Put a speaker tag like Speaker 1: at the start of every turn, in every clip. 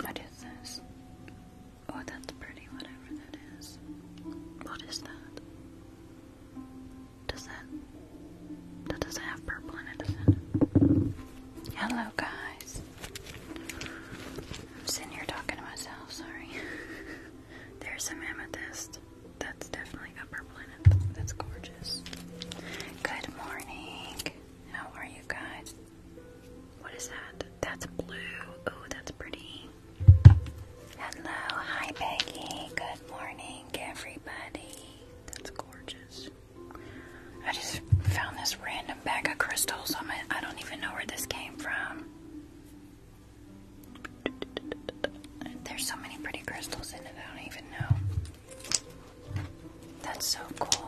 Speaker 1: What is this? Oh, that's pretty, whatever that is. What is that? Does that that doesn't have purple in it, does Hello guys. I'm sitting here talking to myself, sorry. There's some amethyst. That's definitely got purple in it. That's gorgeous. Good morning. How are you guys? What is that? That's blue. Oh, that's pretty. Hello, hi Peggy. Good morning, everybody. That's gorgeous. I just found this random bag of crystals. I'm, I i do not even know where this came from. There's so many pretty crystals in it, I don't even know. That's so cool.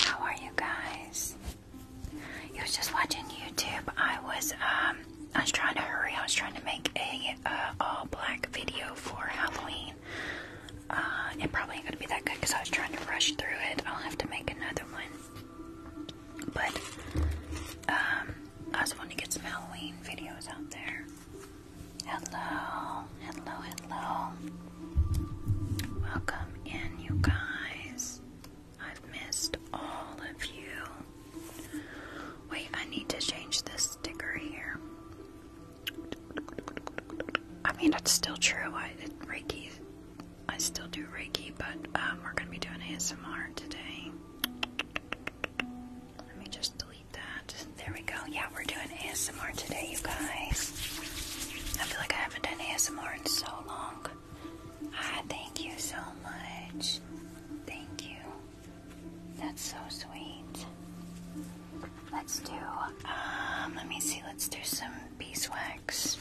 Speaker 1: How are you guys? You was just watching YouTube. I was um I was trying to hurry. I was trying to make a uh, all black video for Halloween. Uh, it probably ain't gonna be that good because I was trying to rush through it. I'll have to make another one. But um, I was wanting to get some Halloween videos out there. Hello, hello, hello. Welcome in, you guys. I've missed all of you. Wait, I need to change this sticker here. I mean, that's still true. I Reiki, I still do Reiki, but um, we're gonna be doing ASMR today. Let me just delete that. There we go. Yeah, we're doing ASMR today, you guys. I feel like I haven't done ASMR in so long. Ah, thank you so much. Thank you. That's so sweet. Let's do, um, let me see, let's do some beeswax.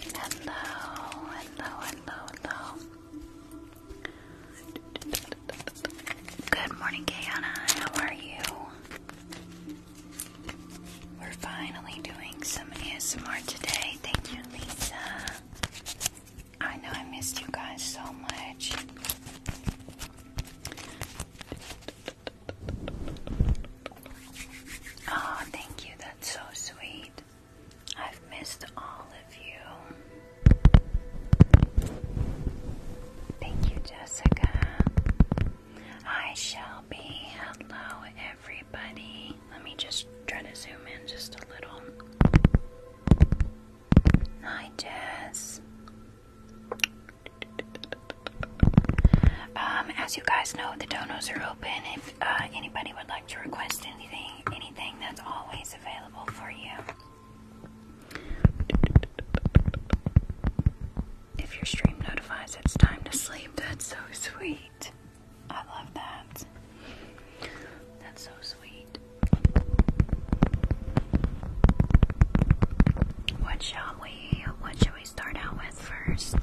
Speaker 1: Hello, hello, hello, hello. Good morning, Kayana. How are you? We're finally doing some ASMR today. Thank you, Lisa. I know I missed you guys so much. Oh, thank you. That's so sweet. I've missed all of you. Thank you, Jessica. I shall be. Hello, everybody. Let me just try to zoom in just a little. Hi, Jess. Um, as you guys know, the donuts are open. If uh, anybody would like to request anything, anything that's always available for you. If your stream notifies it's time to sleep, that's so sweet. I love that. That's so sweet. What shall we what shall we start out with first?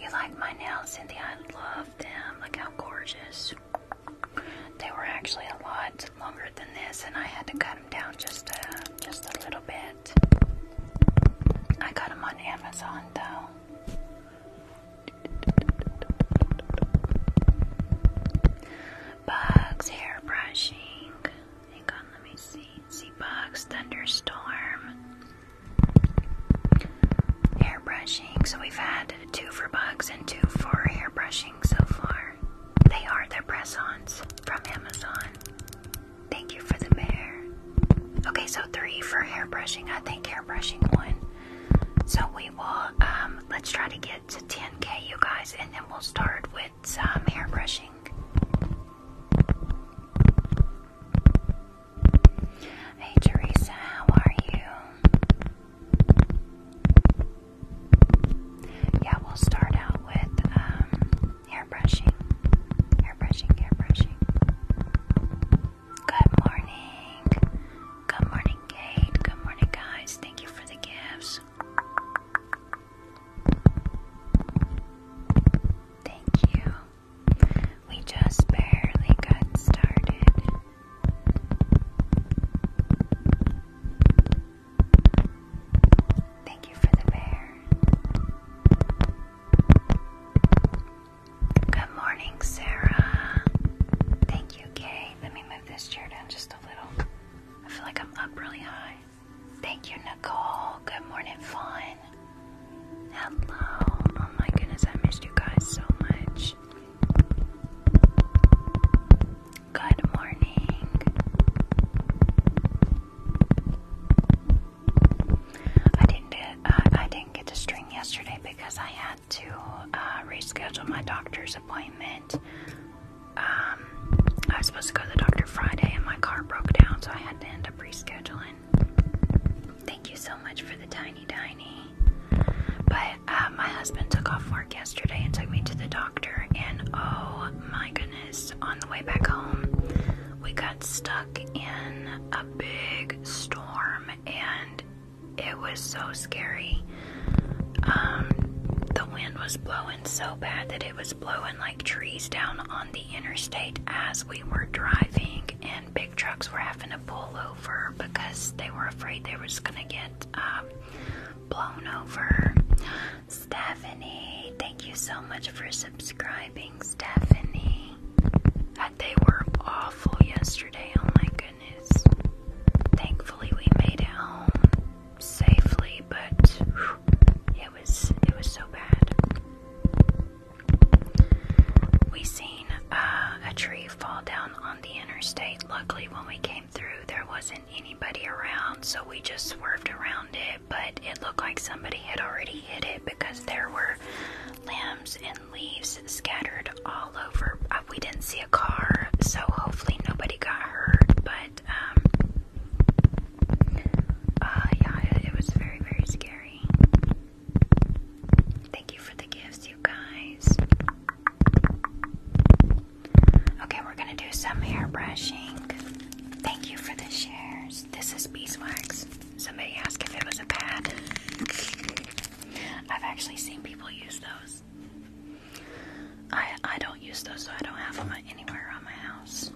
Speaker 2: You like my nails, Cynthia? I love them. Look how gorgeous. They were actually a lot longer than this, and I had to cut them down just a, just a little
Speaker 1: bit. I got them on Amazon, though. Bugs hair brushing. Hang on, let me see. Zee Bugs Thunderstorm. Hairbrushing. So we've had two for bugs and two for hairbrushing so far. They are their press ons from Amazon. Thank you for the bear. Okay, so three for hairbrushing. I think hairbrushing one. So we will, um, let's try to get to 10k, you guys, and then we'll start with some hairbrushing. Hey Teresa, how are you? Yeah, we'll start out with um, airbrushing. Airbrushing, airbrushing. Good morning. Good morning, Kate. Good morning, guys. Thank you for the gifts. Thank you. We just barely got started. Thank you for the bear. Good morning, Sarah. Thank you, Kay. Let me move this chair down just a little. I feel like I'm up really high. Thank you, Nicole. Good morning, Fawn. Hello. Oh my goodness, I missed you guys so much. Good morning. I didn't get, uh, I didn't get to string yesterday because I had to uh, reschedule my doctor's appointment. Um, I was supposed to go to the doctor Friday, and my car broke down, so I had to end rescheduling. Thank you so much for the tiny tiny. But uh, my husband took off work yesterday and took me to the doctor, and oh my goodness, on the way back home, we got stuck in a big storm, and it was so scary. Um, the wind was blowing so bad that it was blowing like trees down on the interstate as we were driving, and big trucks were having to pull over because they were afraid they was gonna get um, blown over. Stephanie, thank you so much for subscribing, Stephanie. Uh, they were awful yesterday. Oh my goodness. Thankfully, we made it home safely, but. It was it was so bad. We seen uh, a tree fall down on the interstate. Luckily, when we came through, there wasn't anybody around, so we just swerved around it. But it looked like somebody had already hit it because there were limbs and leaves scattered all over. Uh, we didn't see a car, so hopefully nobody got hurt. But um, uh, yeah, it was very, very scary. Thank you for the gifts, you guys. Okay, we're gonna do some hair brushing. Thank you for the shares. This is beeswax. Somebody asked if it was a pad. I've actually seen people use those. I I don't use those, so I don't have them anywhere around my house.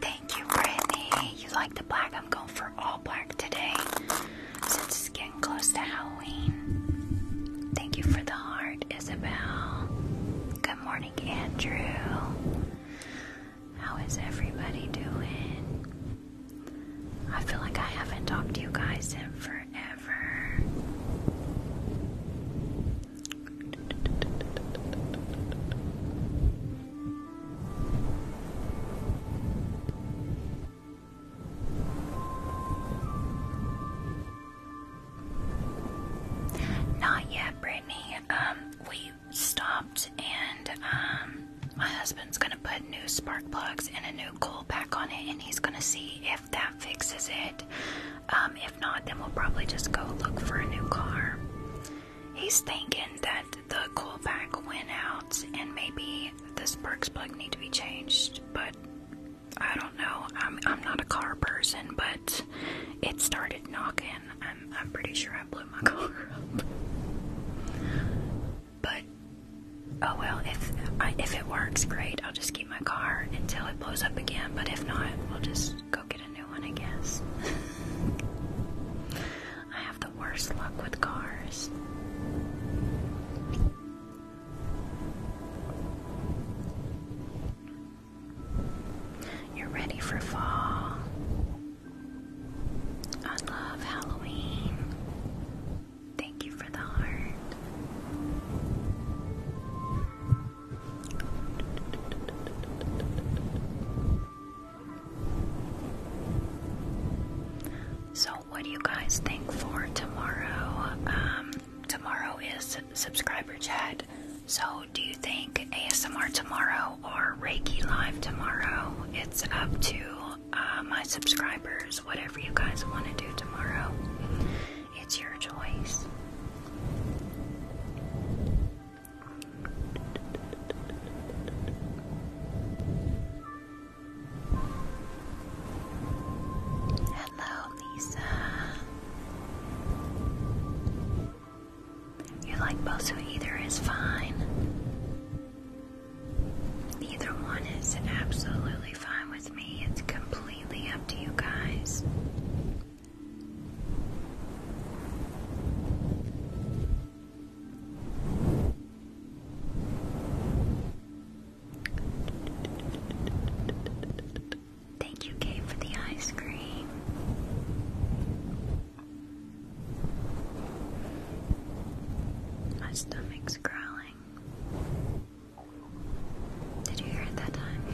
Speaker 1: Thank you, Brittany. You like the black? I'm going for all black today since it's getting close to Halloween. Thank you for the heart, Isabel. Good morning, Andrew. How is everybody doing? I feel like I haven't talked to you guys in forever. Not yet, Brittany. Um, we stopped, and um, my husband's gonna put new spark plugs and a new coil pack on it, and he's gonna see if that fixes it. Um, if not, then we'll probably just go look for a new car. He's thinking that the cool pack went out and maybe the spark plug needs to be changed, but I don't know. I'm I'm not a car person, but it started knocking. I'm I'm pretty sure I blew my car up. But oh well, if if it works, great. I'll just keep my car until it blows up again. But if not, we'll just go get a new one, I guess. I have the worst luck with cars. You're ready for fall. I love Halloween. Thank you for the heart. So, what do you guys think for tomorrow? Um, tomorrow is subscriber chat. So, do you think ASMR tomorrow or Reiki Live tomorrow? It's up to uh, my subscribers, whatever you guys want to do tomorrow. It's your choice. Hello, Lisa. You like both, either is fine. Neither one is absolutely fine with me. It's completely up to you guys. Thank you, Kate, for the ice cream. My stomach's growling. Did you hear it that time?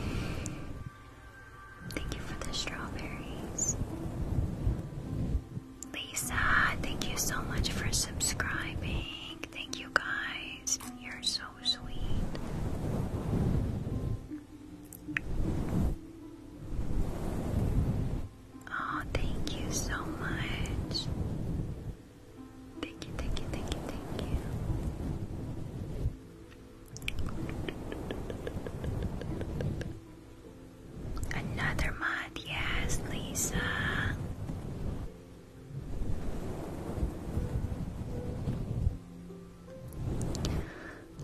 Speaker 1: Thank you for the strawberries. Lisa, thank you so much for subscribing. Thank you guys. You're so sweet. Oh, thank you so much. Thank you, thank you, thank you, thank you. Another mod, yes, Lisa.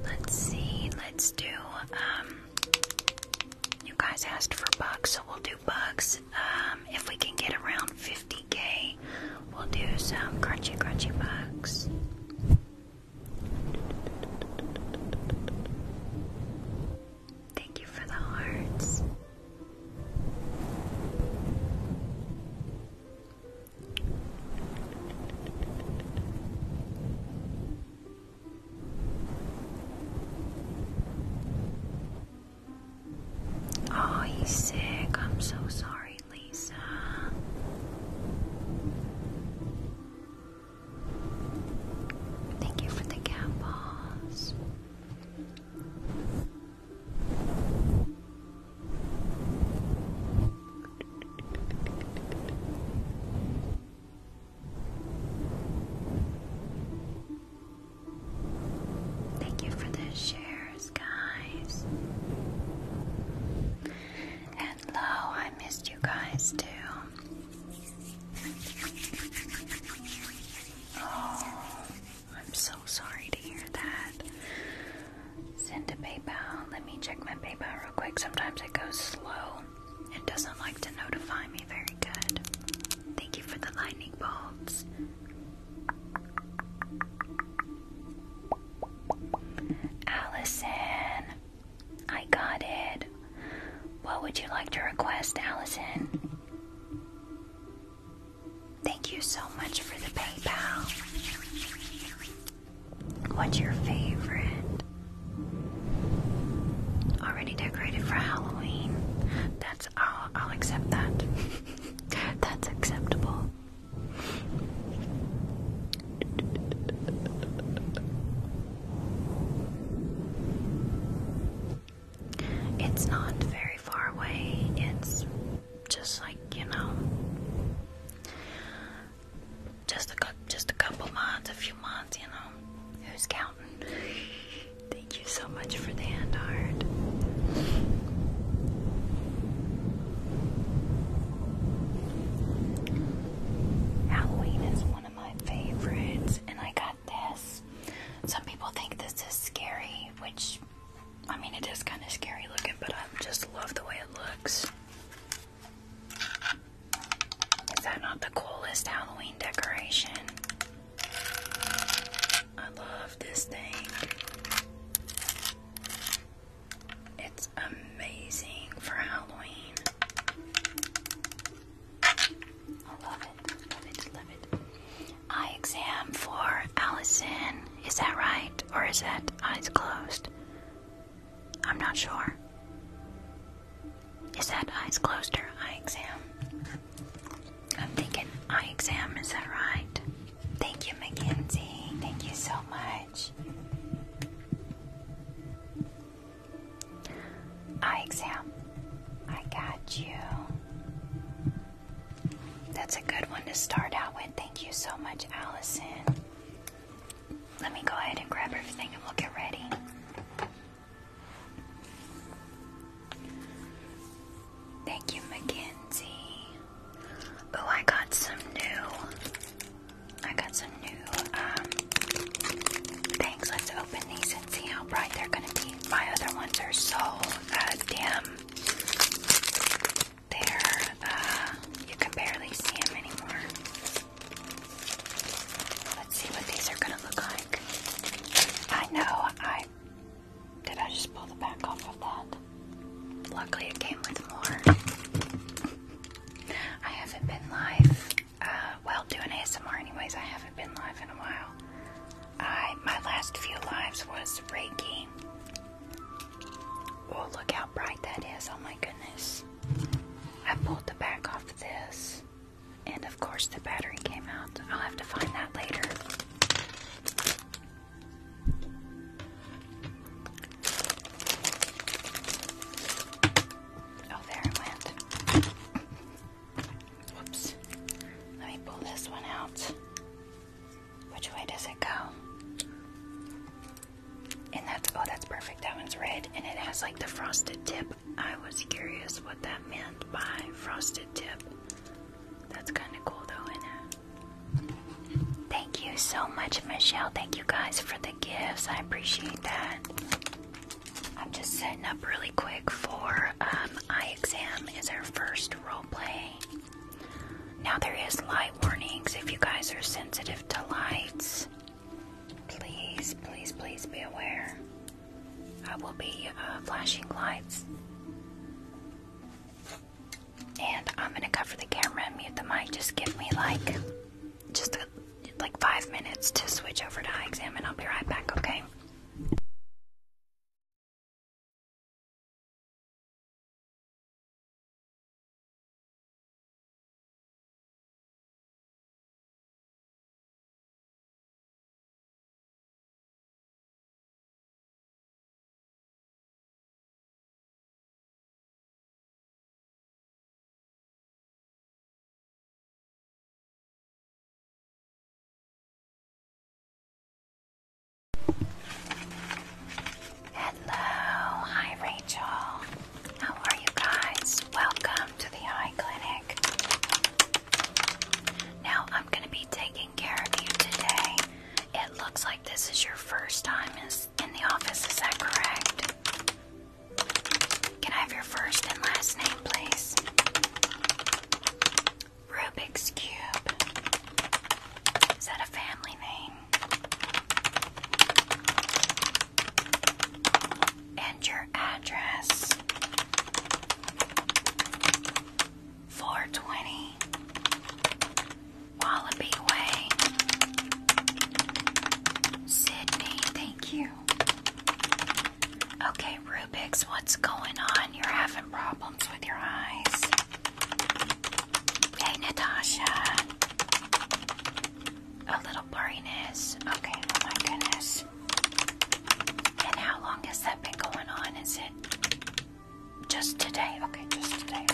Speaker 1: Let's see, let's do, um, you guys asked for bugs, so we'll do bugs. Um, if we can get around 50k, we'll do some crunchy, crunchy bugs.
Speaker 2: Thank you for the hearts.
Speaker 1: Oh, he's sick. I'm so sorry. Lisa. Thank you for the cat Thank you for the shares, guys and I missed you guys too. Oh, I'm so sorry to hear that. Send a PayPal. Let me check my PayPal real quick. Sometimes it goes slow. It doesn't like to notify me. Very good. Thank you for the lightning bolts. Allison, I got it. What would you like to request, Allison? Thank you so much for the PayPal. What's your favorite? Already decorated for Halloween. That's all. I'll accept that. That's acceptable. It's not very far away, it's just like, you know, just a, just a couple months, a few months, you know, who's counting? Thank you so much for the hand art. Halloween is one of my favorites, and I got this. Some people think this is scary, which I mean, it is kind of scary looking, but I just love the way it looks. Is that not the coolest Halloween decoration? I love this thing. It's amazing for Halloween. I love it. Love Love it. Eye exam for Allison. Is that right? Or is that eyes closed? I'm not sure. Is that eyes closed or eye exam? I'm thinking eye exam, is that right? Thank you, Mackenzie. Thank you so much. Eye exam. I got you. That's a good one to start out with. Thank you so much, Allison. Let me go ahead and grab everything and we'll get ready. Thank you, Mackenzie. Oh, I got some new. I got some new um, things. Let's open these and see how bright they're going to be. My other ones are so uh, dim. They're, uh, you can barely see them anymore. Let's see what these are going to look like. I know, I. Did I just pull the back off of that? Luckily, it came with more. I haven't been live, uh, well, doing ASMR anyways, I haven't been live in a while. I, my last few lives was Reiki. Oh, look how bright that is, oh my goodness. I pulled the back off this, and of course the battery came out. I'll have to find that later. Oh, there it went. Whoops. Let me pull this one out. Which way does it go? And that's, oh, that's perfect. That one's red and it has like the frosted tip. I was curious what that meant by frosted tip. That's kind of cool though, is it? Thank you so much, Michelle. Thank you guys for the gifts. I appreciate that. I'm just setting up really quick for um, eye exam is our first role play. Now there is light warnings. If you guys are sensitive to lights, please, please, please be aware. I will be uh, flashing lights and I'm gonna cover the camera and mute the mic. Just give me like, just like five minutes to switch over to eye exam, and I'll be right back. Okay. Hello, hi Rachel. How are you guys? Welcome to the eye clinic. Now, I'm going to be taking care of you today. It looks like this is your first time, is in the office, is that correct? Can I have your first and last name, please? Rubik's Cube. Is that a family name? And your address? 420 Wallaby Way. Sydney, thank you. Okay, Rubix, what's going on? You're having problems with your eyes. Hey, Natasha. A little blurriness. Okay, oh my goodness. And how long has that been going on? Is it just today? Okay, just today.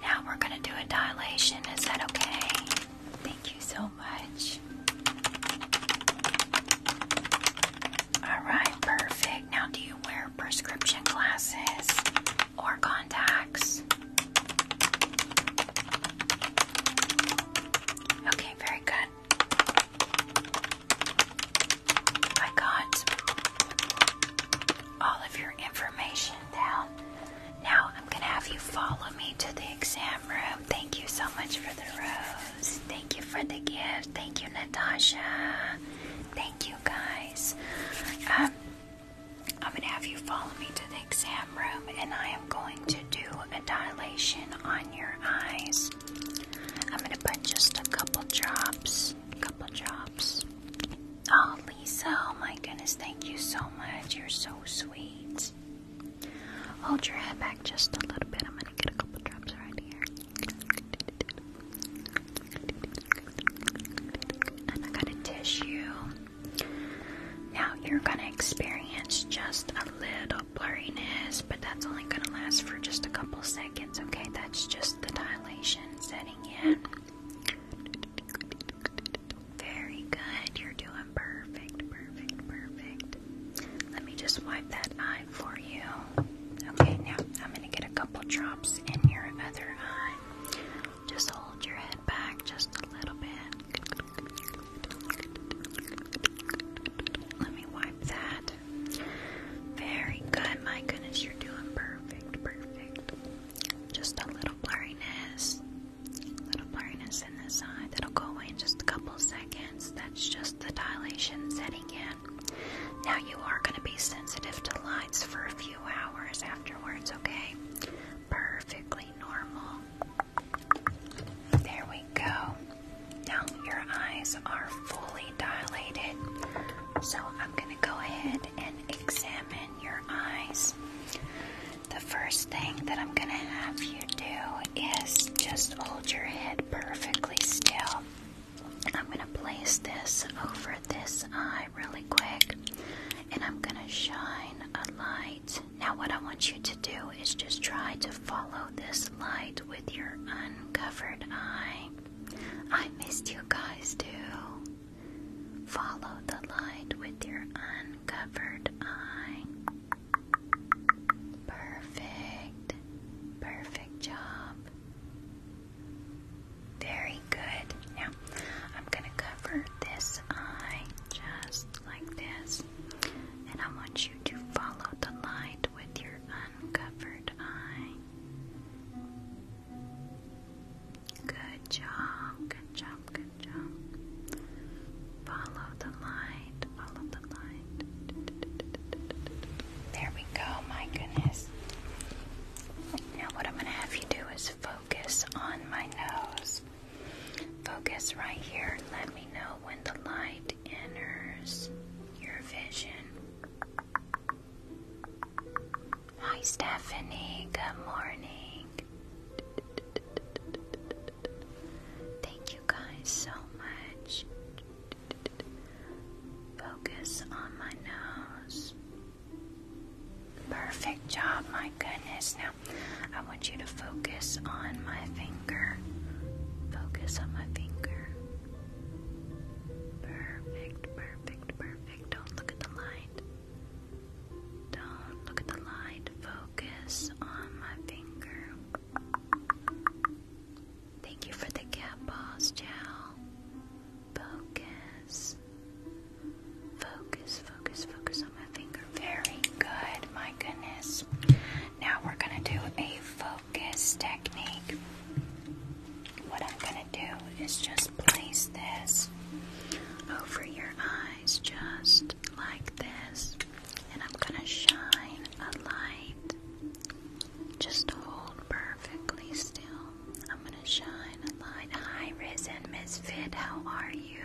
Speaker 1: Now we're going to do a dilation. Is that okay? Thank you so much. All right, perfect. Now, do you wear prescription glasses or contacts? Okay, very good. I got all of your information down. Now I'm going to have you follow me to the exam room. Thank you so much for the rose. Thank you for the gift. Thank you, Natasha. Thank you, guys. Um, I'm going to have you follow me to the exam room, and I am going to do a dilation on your eyes. I'm going to put just a couple drops, A couple drops. i Lisa. Oh my goodness, thank you so much. You're so sweet. Hold your head back just a little bit. I'm gonna get a couple drops right here. I'm I got a tissue. Now you're gonna experience just a little blurriness, but that's only gonna last for just a couple seconds, okay? That's just the dilation setting in. Very good. You're doing perfect, perfect, perfect. Let me just wipe that eye for you. Okay, now I'm going to get a couple drops in your other eye. Just hold your head back just a little bit. Let me wipe that. Very good. My goodness, you're doing perfect, perfect just a little blurriness, little blurriness in the side. that'll go away in just a couple seconds. That's just the dilation setting in. Now you are going to be sensitive to lights for a few hours afterwards, okay? Perfectly normal. There we go. Now your eyes are fully dilated. So I'm going to go ahead and examine your eyes. The first thing that I'm going to have you do is just hold your head perfectly still. I'm going to place this over this eye really quick and I'm going to shine a light. Now, what I want you to do is just try to follow this light with your uncovered eye. I missed you guys too. Follow the light with your uncovered eye. Perfect. Perfect job. Very good. Now, I'm going to cover this eye just like this. And I want you to follow the light with your uncovered eye. Good job, good job, good job. Follow the light, follow the light. There we go, my goodness. Now, what I'm going to have you do is focus on my nose. Focus right here. Let me know when the light enters your vision. Hi, Stephanie. Good morning. Thank you guys so much. Focus on my nose. Perfect job, my goodness. Now, I want you to focus on my finger. Focus on my finger. Perfect, perfect, perfect. Don't look at the light. Don't look at the light. Focus on my finger. Thank you for the cat paws, Chow. Focus. Focus, focus, focus on my finger. Very good, my goodness. Now we're going to do a focus technique what I'm going to do is just place this over your eyes, just like this. And I'm going to shine a light. Just hold perfectly still. I'm going to shine a light. Hi, Risen Misfit. How are you?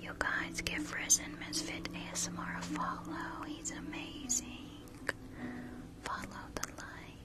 Speaker 1: You guys give Risen Misfit ASMR a follow. He's amazing. Follow the light.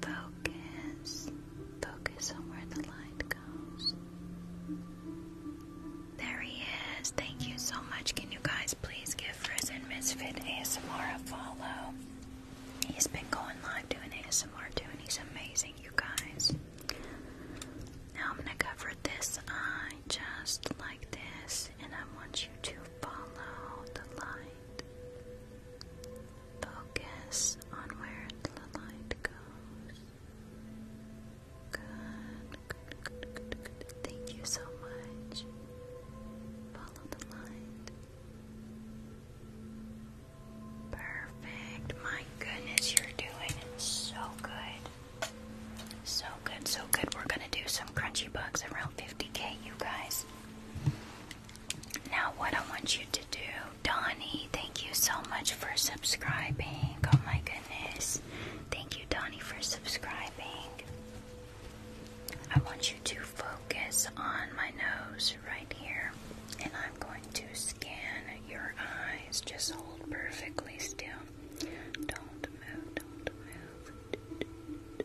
Speaker 1: Focus. Focus on where the light goes. There he is. Thank you so much. Can you guys please give Friz and Misfit ASMR a follow? He's been going live doing ASMR too, and he's amazing, you guys. Now I'm gonna cover this eye just like this, and I want you to follow the light. Focus on where the light goes. Good, Thank you so much. Follow the light. Perfect. My goodness, you're doing so good. So good, so good. We're going to do some crunchy bugs around 50k, you guys. Now, what I want you to do, Donnie, thank you so much for subscribing. Oh my goodness. Thank you, Donnie, for subscribing. I want you to focus on my nose right here, and I'm going to scan your eyes. Just hold perfectly still. Don't move, don't move.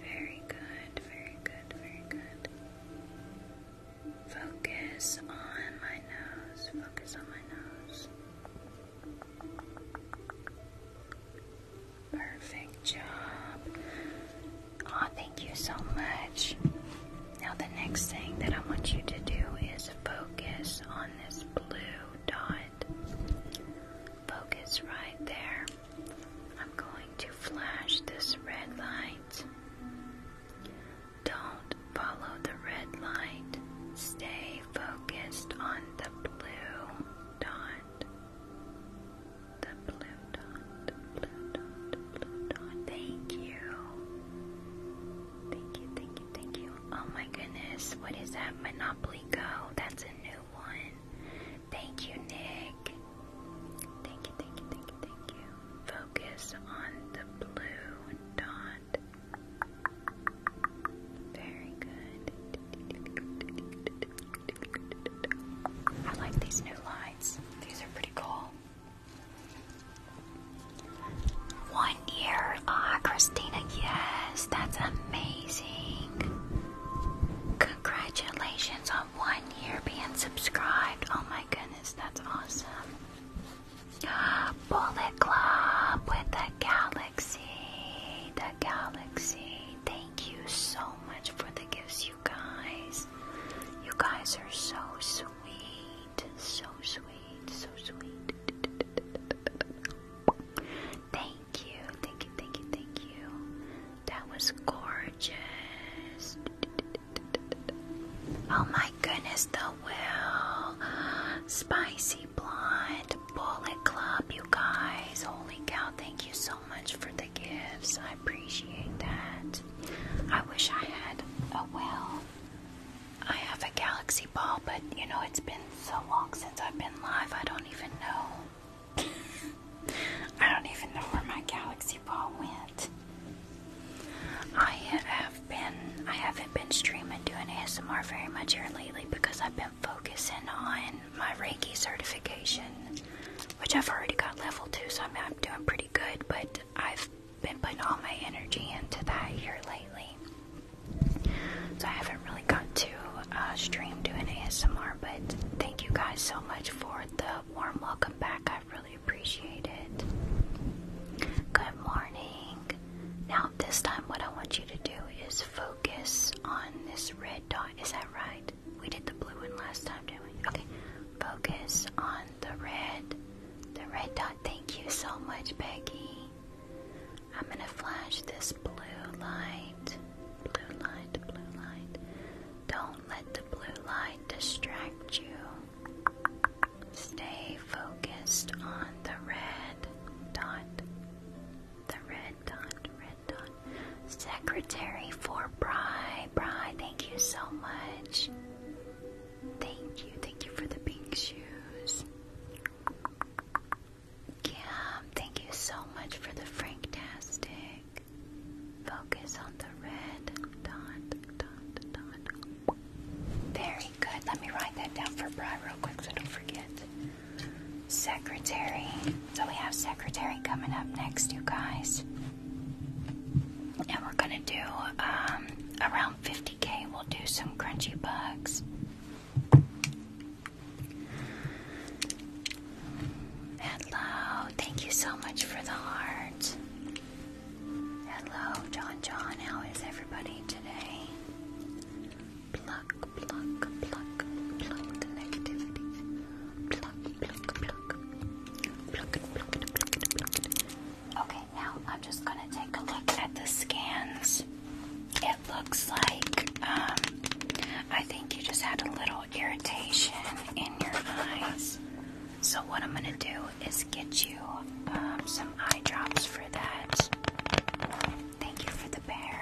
Speaker 2: Very good, very good, very good. Focus
Speaker 1: on my nose, focus on my nose. Perfect job. Aw, thank you so much. Now, the next thing that I want you to do is focus on this blue dot. Focus right there. I'm going to flash this red light. Don't follow the red light. Stay focused on the blue dot. The blue dot, blue dot, blue dot. Thank you. Thank you, thank you, thank you. Oh my goodness, what is that? Monopoly Go. That's a new one. Thank you, Nick. Thank you, thank you, thank you, thank you. Focus on the blue dot. Very good. I like these new lights. These are pretty cool. One year. Ah, Christina, yes, that's amazing. Congratulations on one year being subscribed. Oh my goodness, that's awesome. Bullet Club with the Galaxy. The Galaxy. Thank you so much for the gifts, you guys. You guys are so sweet. So sweet. So sweet. Thank Thank you, thank you, thank you, thank you. That was gorgeous. Oh my goodness, the will. Spicy Blonde Bullet Club, you guys. Holy cow, thank you so much for the gifts. I appreciate that. I wish I had a well. I have a galaxy ball, but you know, it's been so long since I've been live, I don't even know. I don't even know where my galaxy ball went. I have been I haven't been streaming doing ASMR very much here lately because I've been focusing on my Reiki certification, which I've already got level two, so I'm, doing pretty good. But I've been putting all my energy into that here lately, so I haven't really got to uh, stream doing ASMR but thank you guys so much for the warm welcome back. I really appreciate it. Good morning. Now, this time, what I want you to do is focus on this red dot. Is that right? We did the blue one last time, didn't we? Okay. Focus on the red, the red dot. Thank you so much, Peggy. I'm going to flash this blue light, blue light, blue light. Don't let the blue light distract you. Stay focused on the red dot. The red dot, red dot. Secretary for Bri. Bri, thank you so much. Thank you, thank you for the pink shoes. Cam, thank you so much for the Franktastic. Focus on the red dot, dot, dot. Very good. Let me write that down for Bri real quick so I don't forget. Secretary. So we have Secretary coming up next, you guys. And we're gonna do um, around 50k. We'll do some crunchy bugs. Hello, thank you so much for the heart. Hello, John John, how is everybody today? Pluck, pluck, pluck, pluck the negativity. Pluck, pluck, pluck. Pluck it, pluck pluck pluck Okay, now I'm just gonna take a look at the scans. It looks like um, I think you just had a little irritation in your eyes. So, what I'm going to do is get you um, some eye drops for that. Thank you for the bear.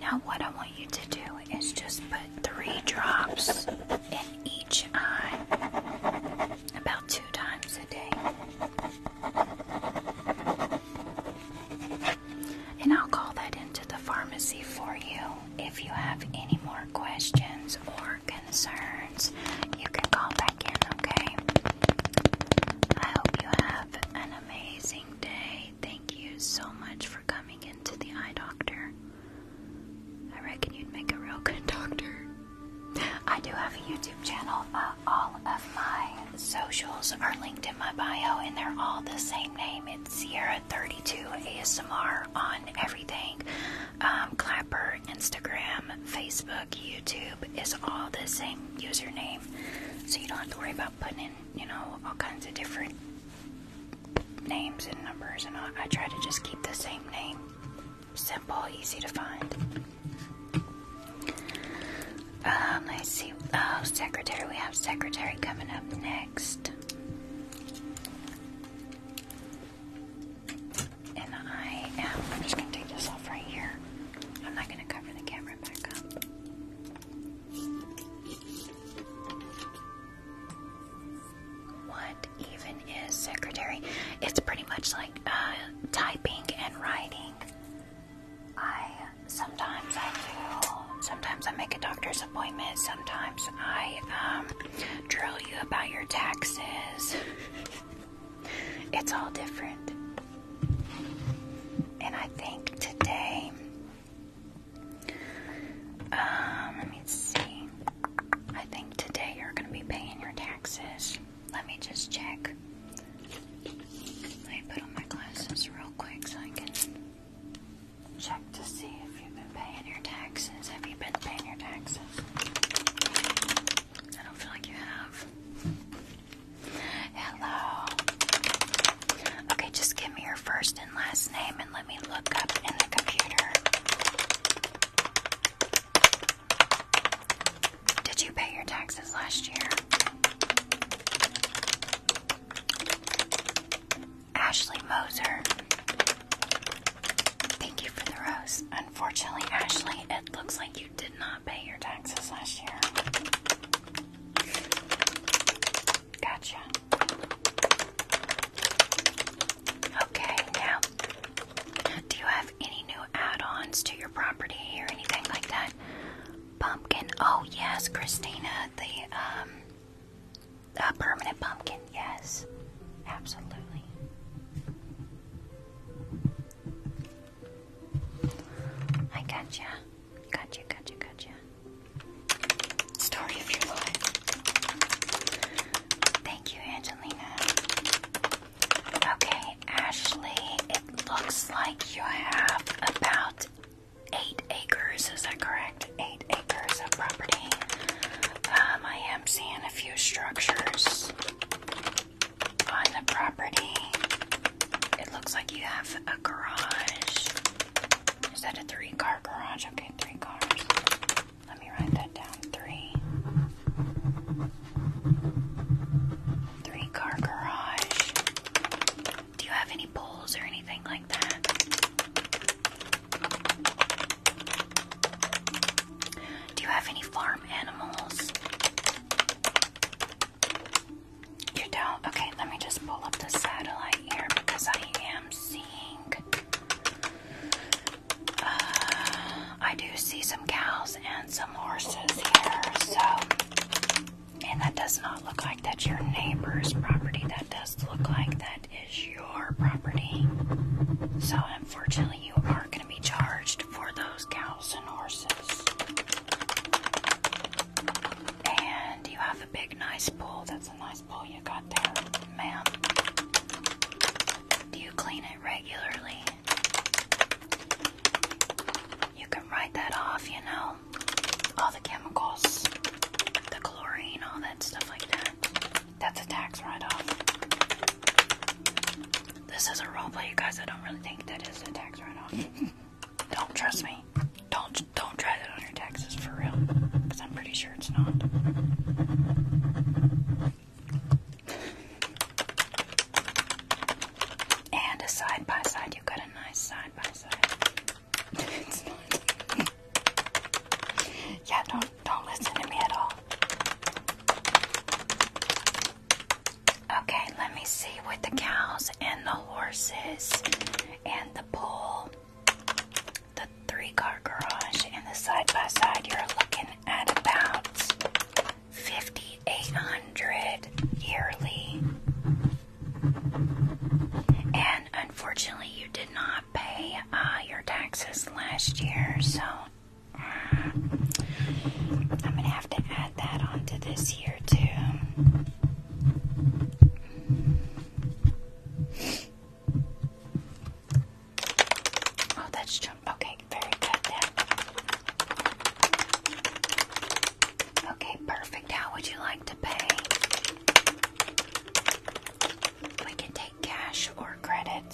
Speaker 1: Now, what I want you to do is just put three drops in each eye about two times a day. And I'll call that into the pharmacy for you. If you have any more questions or concerns, you can call back in, okay? I hope you have an amazing day. Thank you so much for coming into the eye doctor. I reckon you'd make a real good doctor. I do have a YouTube channel. Uh, all of my socials are linked in my bio, and they're all the same name. It's Sierra32 ASMR on everything. Um, Clapper, Instagram, Facebook, YouTube is all the same username. So you don't have to worry about putting in, you know, all kinds of different names and numbers, and I, try to just keep the same name. Simple, easy to find. Um, let see. Oh, secretary. We have secretary coming up next. And I am. I'm just gonna take this off right here. I'm not gonna cover the camera back up. What even is secretary? It's pretty much like uh, typing and writing. I sometimes I do. Sometimes I make a doctor's appointment. Sometimes I um, drill you about your taxes. it's all different. And I think today um, let me see. I think today you're going to be paying your taxes. Let me just check. Let me put on my glasses real quick so I can check to see if you've been paying your taxes. Have you been paying your taxes? I don't feel like you have. Hello. Okay, just give me your first and last name and let me look up in the computer. Did you pay your taxes last year? Ashley Moser. Thank you for the rose. Unfortunately, Ashley, it looks like you did not pay your taxes last year. Gotcha. Okay, now, do you have any new add ons to your property or anything like that? Pumpkin. Oh, yes, Christina, the um, uh, permanent pumpkin. Yes, absolutely. I gotcha. Gotcha, gotcha, gotcha. Story of your life. Thank you, Angelina. Okay, Ashley, it looks like you have about eight acres, is that correct? Eight acres of property. Um, I am seeing a few structures on the property. It looks like you have a garage. Is that a three car garage? Okay, three cars. Let me write that down. Three. Three car garage. Do you have any poles or anything like that? Do you have any farm animals? You don't? Okay, let me just pull up the satellite here because I am seeing. Uh, I do see some cows and some horses here, so. And that does not look like that's your neighbor's property. That does look like that is your property. So, unfortunately, you are going to be charged for those cows and horses. And you have a big, nice pool. That's a nice nice you got there, ma'am. Do you clean it regularly? You can write that off, you know. All the chemicals, the chlorine, all that stuff like that. That's a tax write
Speaker 2: off. This is a roleplay, you guys. I don't really think that is a tax write off. don't trust me. Don't don't try that on your taxes for real. Because I'm pretty sure it's not.
Speaker 1: And a side by side, you got a nice side by side. yeah, don't don't listen to me at all. Okay, let me see with the cows and the horses and the bull the three car garage and the side by side, you're looking at about 5800 yearly. And unfortunately, you did not pay uh, your taxes last year, so uh, I'm gonna have to add that onto this year too. Oh, that's jump. Okay, very good Okay, perfect. How would you like to pay? We can take cash or credit.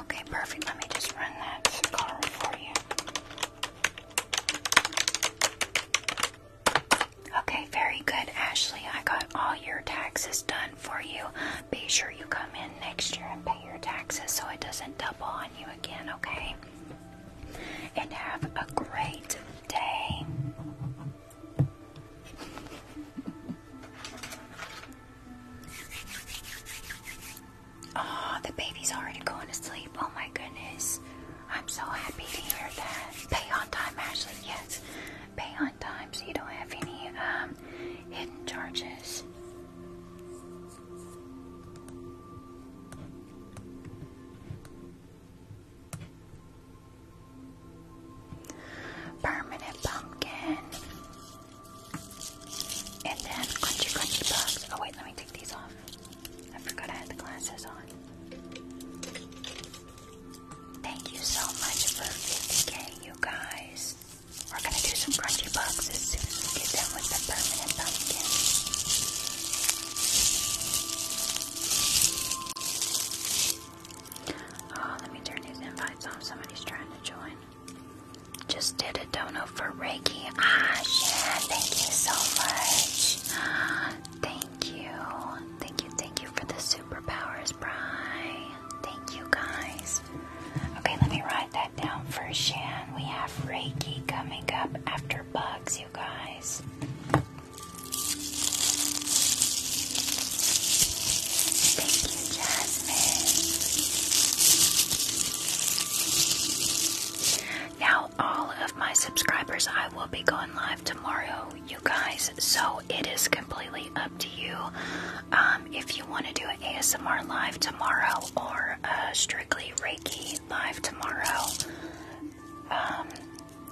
Speaker 1: Okay, perfect. Let me just run that card for you. Okay, very good, Ashley. I got all your taxes done for you. Be sure you come in next year and pay your taxes so it doesn't double on you again, okay? And have a great day. Oh, the baby's already going to sleep. Oh my goodness. I'm so happy to hear that. Pay on time, Ashley. Yes, pay on time, so you don't have any um, hidden charges. Permanent pumpkin, and then crunchy crunchy bugs. Oh wait, let me take these off. I forgot I had the glasses on. Thank you so much for 50 you guys. We're gonna do some crunchy bugs as soon as we get done with the permanent pumpkin. Oh, let me turn these invites off. Somebody's trying to join. Just did a dono for Reiki. Ah, thank you so much. Thank you. Thank you, thank you for the superpowers, Bry. Thank you, guys. Okay, let me write that down for Shan. We have Reiki coming up after bugs, you guys. Thank you, Jasmine. Now, all of my subscribers I will be going live tomorrow, you guys. So it is completely up to you um, if you want to do an ASMR live tomorrow or strictly Reiki live tomorrow. Um,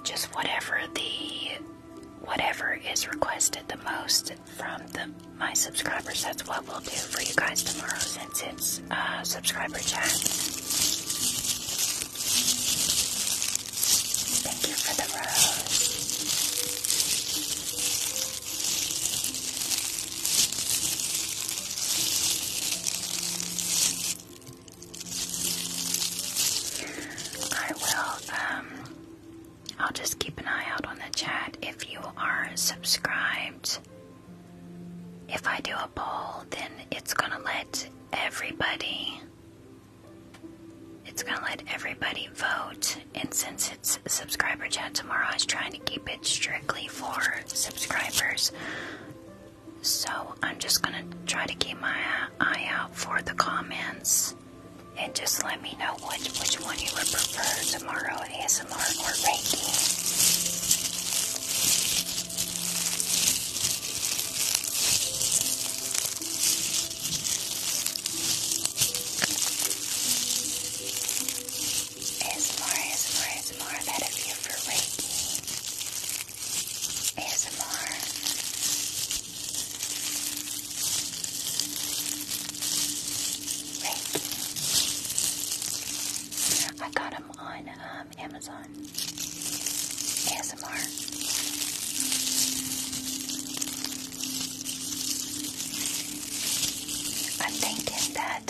Speaker 1: just whatever the whatever is requested the most from the my subscribers. That's what we'll do for you guys tomorrow since it's uh, subscriber chat. Thank you for the rose. I will, um, I'll just keep an eye out on the chat if you are subscribed. If I do a poll, then it's gonna let everybody. It's gonna let everybody vote, and since it's subscriber chat tomorrow, I was trying to keep it strictly for subscribers. So I'm just gonna try to keep my eye out for the comments, and just let me know which which one you would prefer tomorrow: ASMR or baking.
Speaker 2: ASMR, ASMR, ASMR, that is you for Reiki. ASMR.
Speaker 1: Reiki. I got him on, uh, um, Amazon ASMR. I'm thinking that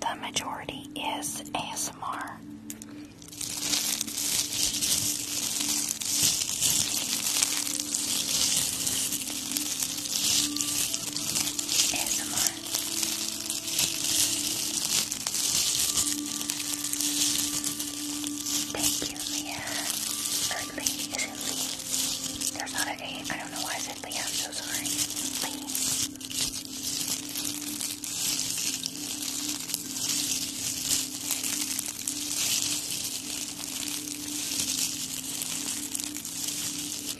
Speaker 1: the majority is ASMR. ASMR. Thank you, Leah. Or is it Lee? There's not an A. I don't know why I said Leah. I'm so sorry.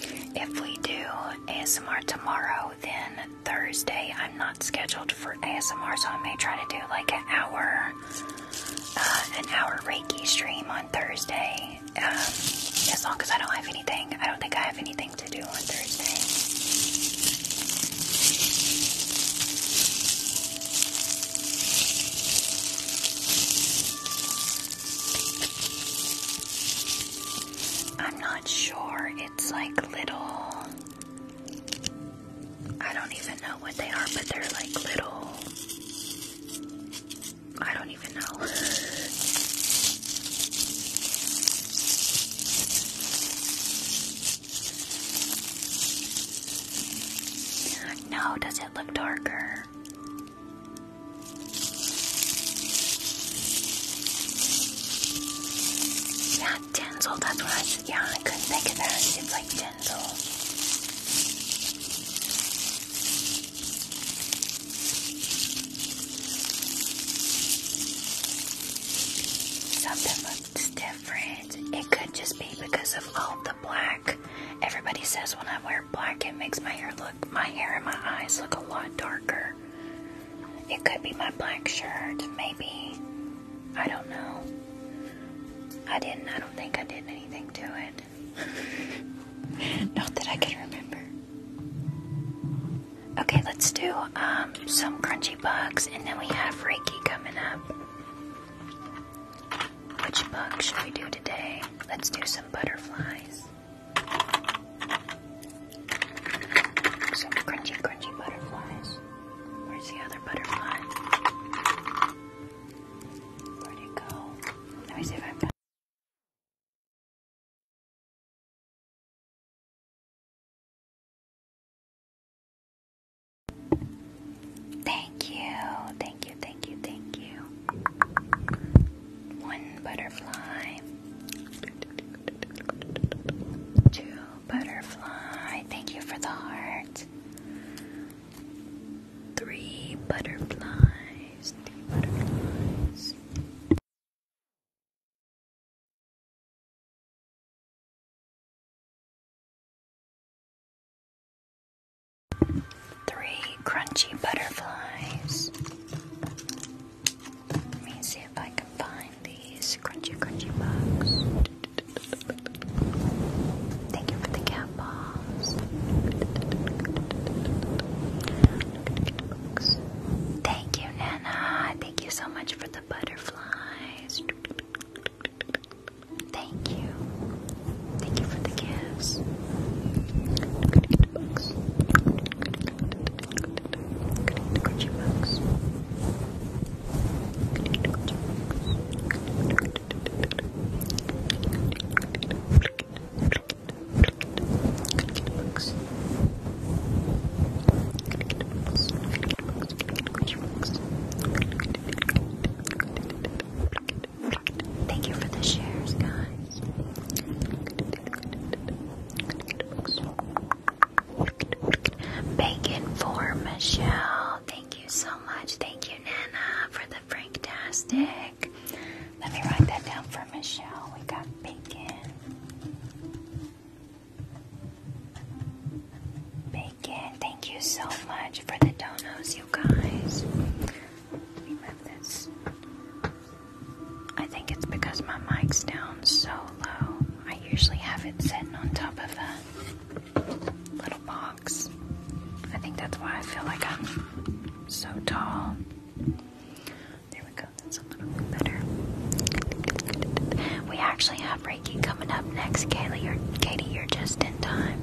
Speaker 1: Lee. If we do ASMR tomorrow, then Thursday, I'm not scheduled for ASMR, so I may try to do like an hour, uh, an hour Reiki stream on Thursday. Um, as long as I don't have anything, I don't think I have anything to do on Thursday. I'm not sure. It's like little I don't even know what they are, but they're like little. I don't even know. No, does it look darker? Yeah, not That's what I said. Yeah, I couldn't
Speaker 2: think of that. It's like tinsel.
Speaker 1: Something looks different. It could just be because of all the black. Everybody says when I wear black, it makes my hair look, my hair and my eyes look a lot darker. It could be my black shirt, maybe. I don't know. I didn't, I don't think I did anything to it. Not that I can remember. Okay, let's do um, some crunchy bugs, and then we have Reiki coming up. Which bug should we do today? Let's do some butterflies. Some crunchy, crunchy butterflies. Where's the other butterfly?
Speaker 3: Where'd it go? Let me see if I can.
Speaker 1: Thank you, thank you, thank you, thank you. One butterfly, two butterfly. Thank you for the heart.
Speaker 3: Three butterflies. Three crunchy butterflies. Let me see if I can find these crunchy, crunchy bugs.
Speaker 1: Thank you for the cat balls. Thank you, Nana. Thank you so much for the butterflies. Thank you. Thank you for the gifts. Thank you for the shares, guys. Bacon for Michelle. Thank you so much. Thank you, Nana, for the Franktastic. Let me write that down for Michelle. We got bacon. Bacon. Thank you so much for the donuts, you guys. I think it's because my mic's down so low. I usually have it sitting on top of a little box. I think that's why I feel like I'm so tall. There we go, that's a little bit better. We actually have Reiki coming up next, Kaylee. Or Katie, you're just in time.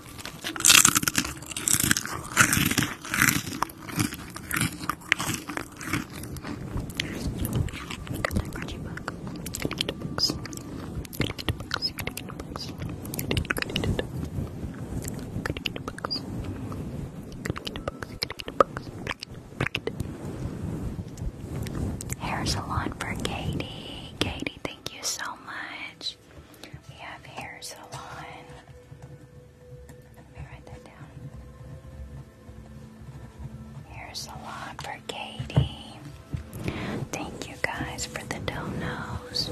Speaker 1: crunchy book. books. Hair salon for Katie. Katie, thank you so much. We have hair salon. Let me write that down. Hair
Speaker 2: salon
Speaker 1: for Katie. Thank you guys for the donos.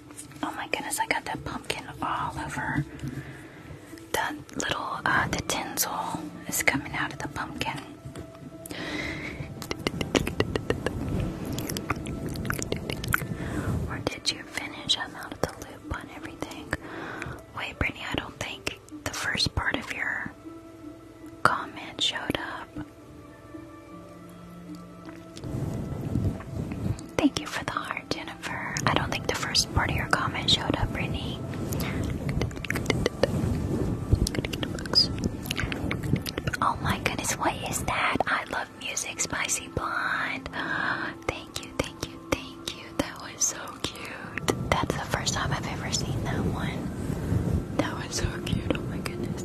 Speaker 1: Oh my goodness, I got that pumpkin all over. The little, uh, the tinsel is coming out of the pumpkin. Or did you finish? I'm out of the loop on everything. Wait, Brittany, I don't think the first part of your comment showed up. Thank you for the heart, Jennifer. I don't think the first part of your comment showed up, Brittany. Oh my goodness, what is that? I love music, Spicy Blonde. Thank you, thank you, thank you. That was so cute. That's the first time I've ever seen that one. That was so cute, oh my goodness.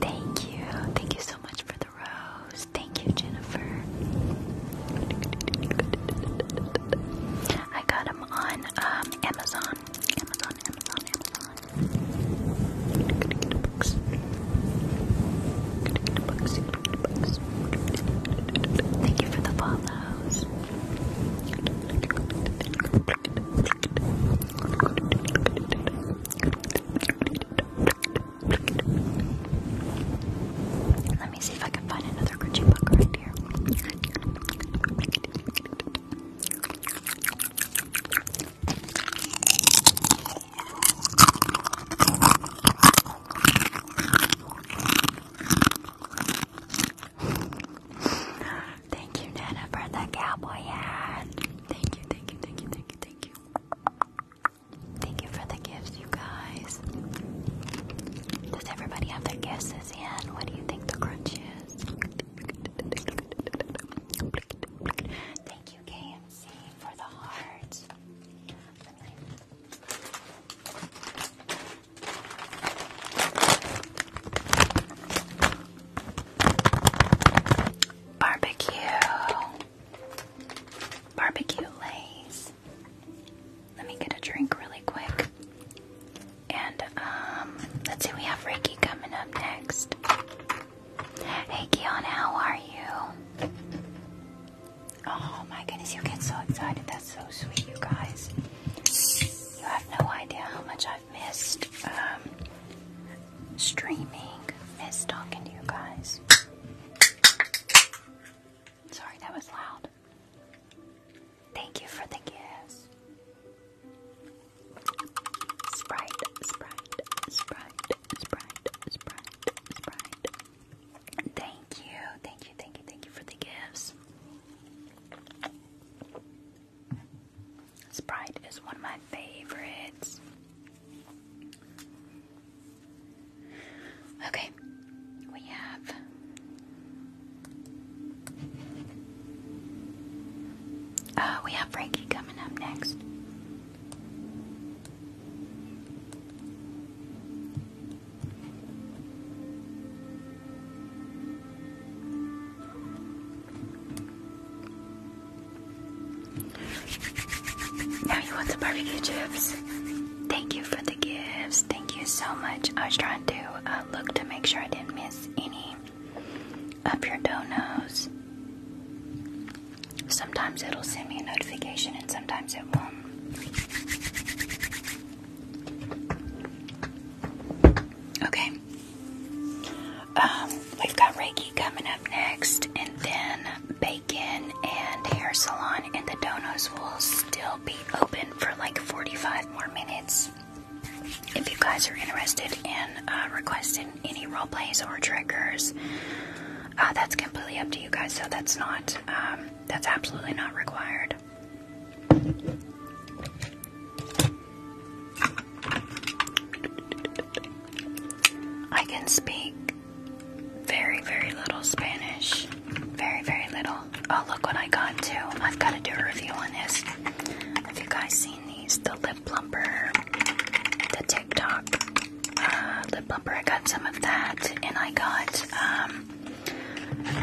Speaker 1: Thank you. Thank you so much for the rose. Thank you, Jennifer. I got them on um, Amazon. Amazon, Amazon, Amazon. Thank you for the follows. Let me see if I can find another Gucci book right here. Thank you, Nana, for the cowboy hat. Thank you, thank you, thank you, thank you, thank you. Thank you for the gifts, you guys. Does everybody have their gifts in? What do you think the crunch is? Thank you, KMC, for the heart. Barbecue, barbecue lays. Let me get a drink really quick. And um, let's see, we have Reiki coming up next. Hey, Kiana, how are you? Oh my goodness, you get so excited. That's so sweet, you guys. You have no idea how much I've missed um, streaming, missed talking to you guys. Sorry, that was loud. Thank you for the kiss. Sprite, Sprite, Sprite, Sprite, Sprite, Sprite. Thank you, thank you, thank you, thank you for the gifts. Sprite is one of my favorites. Okay, we have uh, we have Frankie coming up next.
Speaker 2: Now you want the barbecue chips.
Speaker 1: Thank you for the gifts. Thank you so much. I was trying to uh, look to make sure I didn't miss any up your dough Sometimes it'll send me a notification and sometimes it won't. Okay. Um, we've got Reiki coming up next, and then bacon and hair salon, and the donuts will still be open for like 45 more minutes. If you guys are interested in uh, requesting any role plays or
Speaker 2: triggers.
Speaker 1: Uh, that's completely up to you guys, so that's not, um, that's absolutely not required. I can speak very, very little Spanish. Very, very little. Oh, look what I got too. I've got to do a review on this. Have you guys seen these? lip plumper, the TikTok uh, lip plumper. I got some of that, and I got um,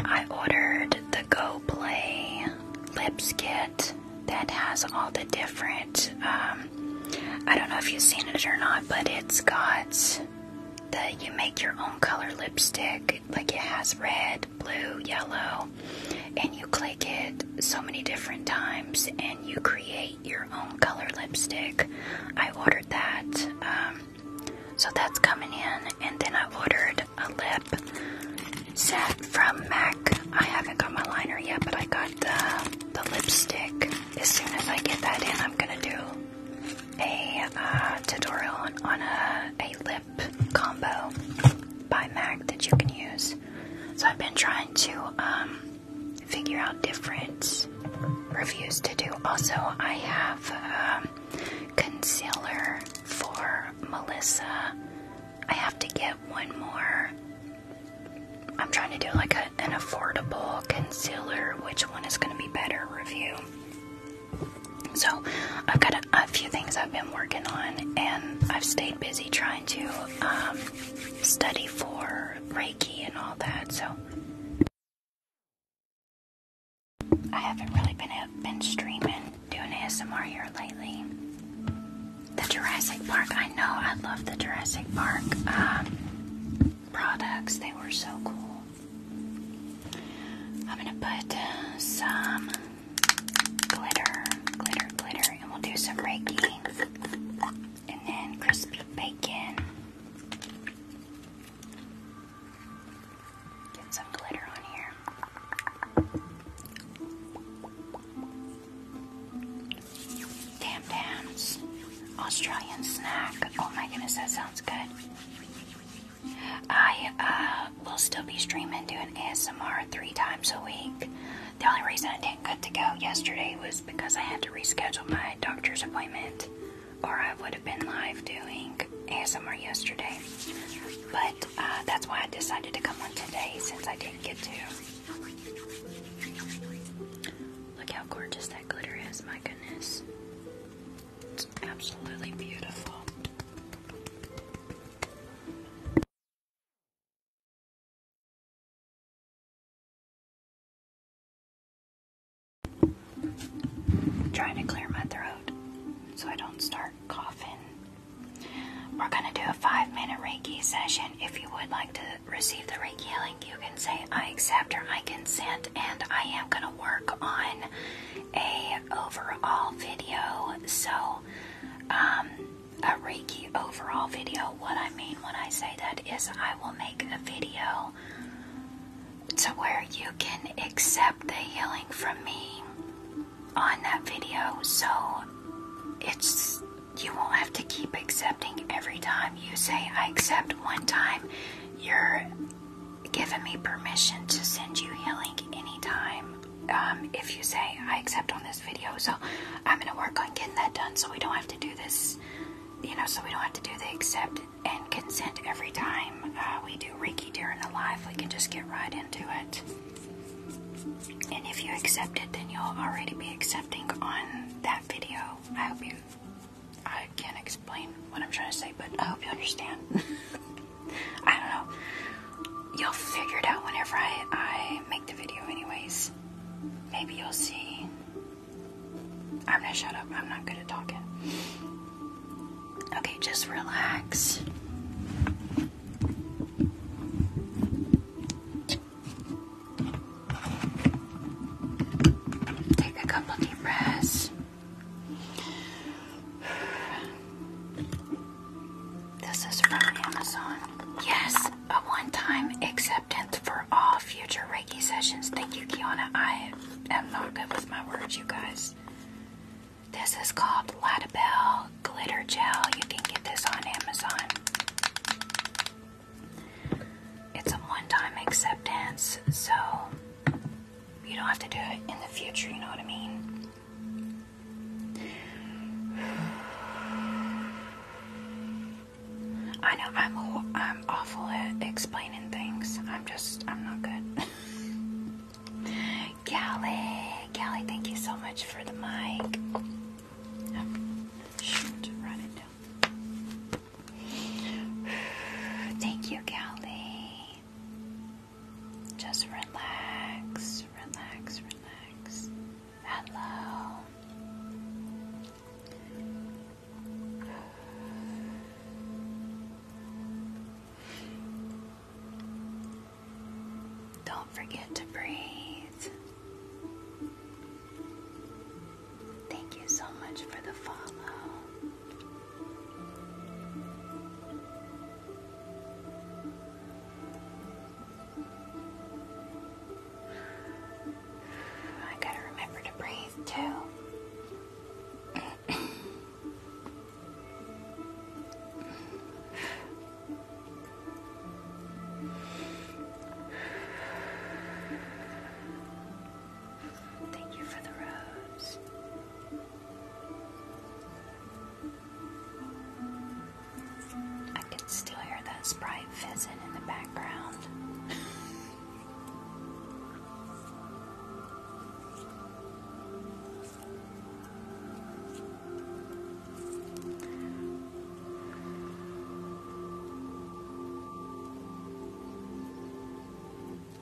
Speaker 1: I ordered the Go Play lips kit that has all the different. Um, I don't know if you've seen it or not, but it's got the you make your own color lipstick. Like it has red, blue, yellow, and you click it so many different times, and you create your own color lipstick. I ordered that. Um, so that's coming in. And then I ordered a lip set from MAC. I haven't got my liner yet, but I got the, the lipstick. As soon as I get that in, I'm going to do a uh, tutorial on, a, a lip combo by MAC that you can use. So I've been trying to um, figure out different reviews to do. Also, I have um, concealer for Melissa. I have to get one more. I'm trying to do like an affordable concealer. Which one is going to be better? Review. So, I've got a, few things I've been working on, and I've stayed busy trying to um, study for Reiki and all that, so I haven't really been uh, been streaming doing ASMR here lately. The Jurassic Park, I know I love the Jurassic Park um, products. They were so cool. I'm gonna put uh, some glitter, glitter, glitter, and we'll do some Reiki and then crispy bacon. Get some glitter on here. Tam Australian snack. Oh my goodness, that sounds good. I uh, will still be streaming doing ASMR three times a week. The only reason I didn't get to go yesterday was because I had to reschedule my doctor's appointment, or I would have been live doing ASMR yesterday. But uh, that's why I decided to come on today since I didn't get to. Look how gorgeous that glitter is, my goodness. It's absolutely beautiful
Speaker 3: trying to clear my throat so I don't start coughing.
Speaker 1: We're going to do a five minute Reiki session. If you would like to receive the Reiki healing, you can say, I accept or I consent, and I am going to work on a overall video. So, um, a Reiki overall video. What I mean when I say that is, I will make a video to where you can accept the healing from me on that video. So it's you won't have to keep accepting every time you say I accept one time. You're giving me permission to send you healing anytime. Um, if you say I accept on this video, so I'm gonna work on getting that done so we don't have to do this, you know, so we don't have to do the accept and consent every time uh, we do Reiki during the Life. We can just get right into it.
Speaker 2: And if you accept
Speaker 1: it, then you'll already be accepting on that video. I hope you, I can't explain what I'm trying to say, but I hope you understand. I don't know. You'll figure it out whenever I, I make the video anyways maybe you'll see. I'm gonna shut up, I'm not good at talking. Okay, just relax. Take a couple deep breaths. This is from Amazon. Yes, a one time exam for all future Reiki sessions. Thank you, Kiana. I am not good with my words, you guys. This is called Lattabelle Glitter Gel. You can get this on Amazon. It's a one time acceptance, so you don't have to do it in the future, you know what I mean? I know I'm I'm awful at explaining things. I'm just I'm not good. Callie, Callie, thank you so much for the mic. Thank you, Callie. Just relax, relax, relax. Hello. Don't forget to breathe. Thank you so much for the follow. I gotta remember to breathe too. Thank you for the rose. I can still hear that sprite fizzing in the background.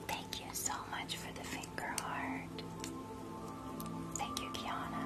Speaker 1: Thank you so much for the finger heart. Thank you, Kiana.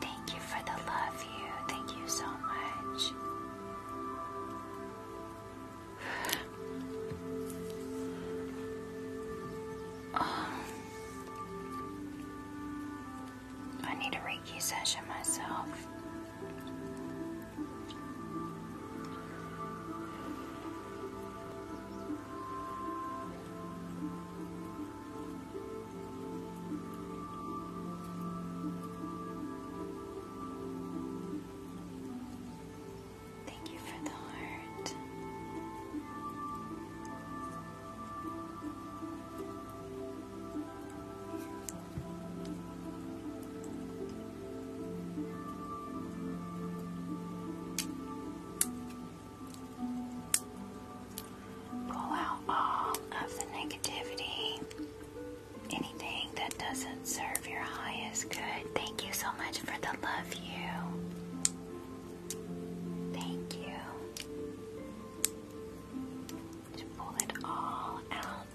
Speaker 1: Thank you for the love, you. Thank you so much. Oh. I need a Reiki session myself. Thank you for the
Speaker 2: heart. Pull out all
Speaker 1: of the negativity, anything that doesn't serve your highest good. Thank you so much for the love, you. Thank you. To pull it all out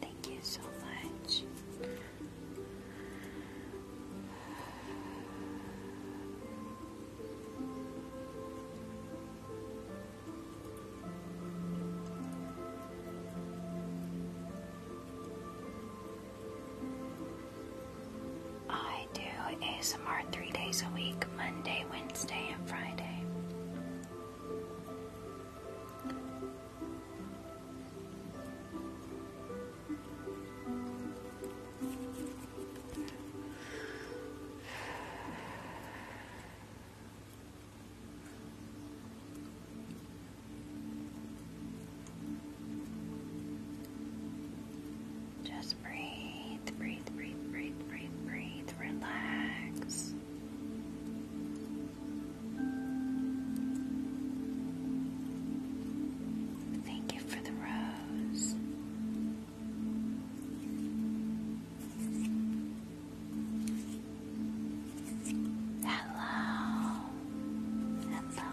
Speaker 1: Thank you so much. I I do ASMR three days a week Monday, Wednesday, and Friday breathe, breathe, breathe, breathe, breathe, breathe. Relax. Thank you for the rose. hello, hello.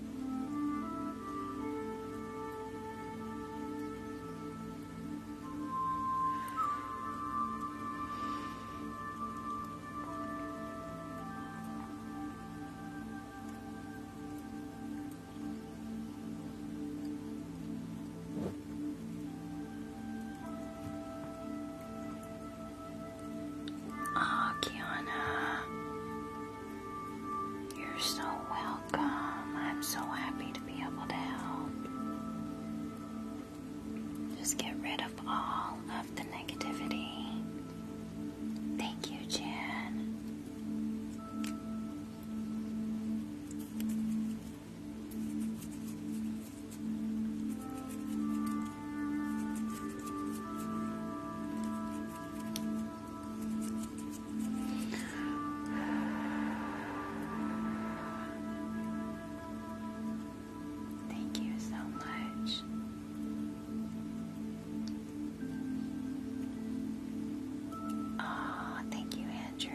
Speaker 1: Ah, oh, Kiana. You're so welcome. I'm so happy to be able to help. Just get rid of all of the negativity. Thank you, Jen. Thank you so much. Oh, thank you, Andrew.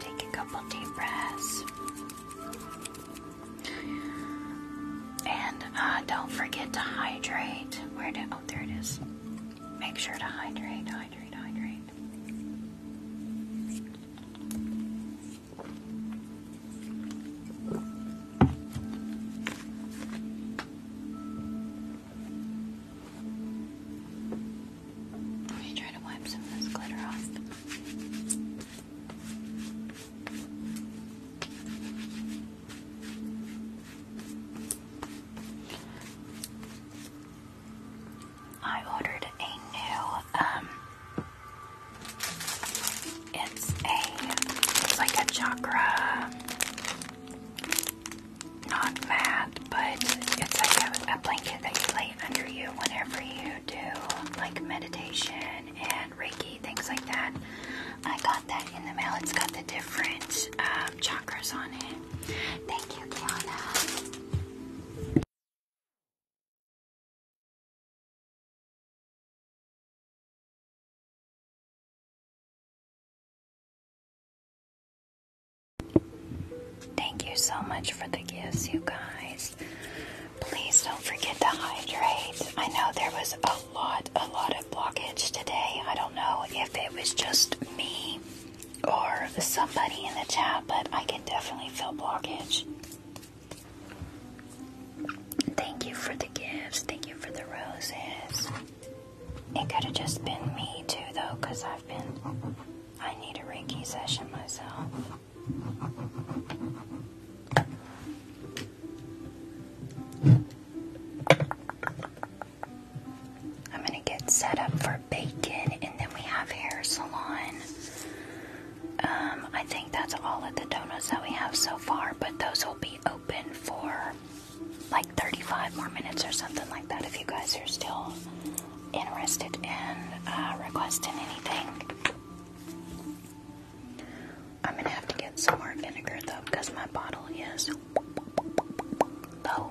Speaker 1: Take a couple deep breaths. And uh, don't forget to hydrate. Where did oh there it is. Make sure to hydrate, hydrate, hydrate. Let me try to wipe some of this glitter off. I ordered a new um it's a it's like a chakra not mat, but it's like a, blanket that you lay under you whenever you do like meditation and Reiki, things like that. I got that in the mail. It's got the different um, chakras on it.
Speaker 3: Thank you, Kiana. Thank you so much for the gifts, you guys. Please don't forget to hydrate.
Speaker 1: I know there was a lot, a lot of blockage today. I don't know if it was just me or somebody in the chat, but I can definitely feel blockage. Thank you for the gifts. Thank you for the roses. It could have just been me too, though, because I've been. I need a Reiki session myself. I'm gonna get set up for bacon, and then we have hair salon. Um, I that's all of the donuts that we have so far, but those will be open for like 35 more minutes or something like that if you guys are still interested in uh, requesting anything. I'm gonna have to get some more vinegar though because my bottle
Speaker 3: is low.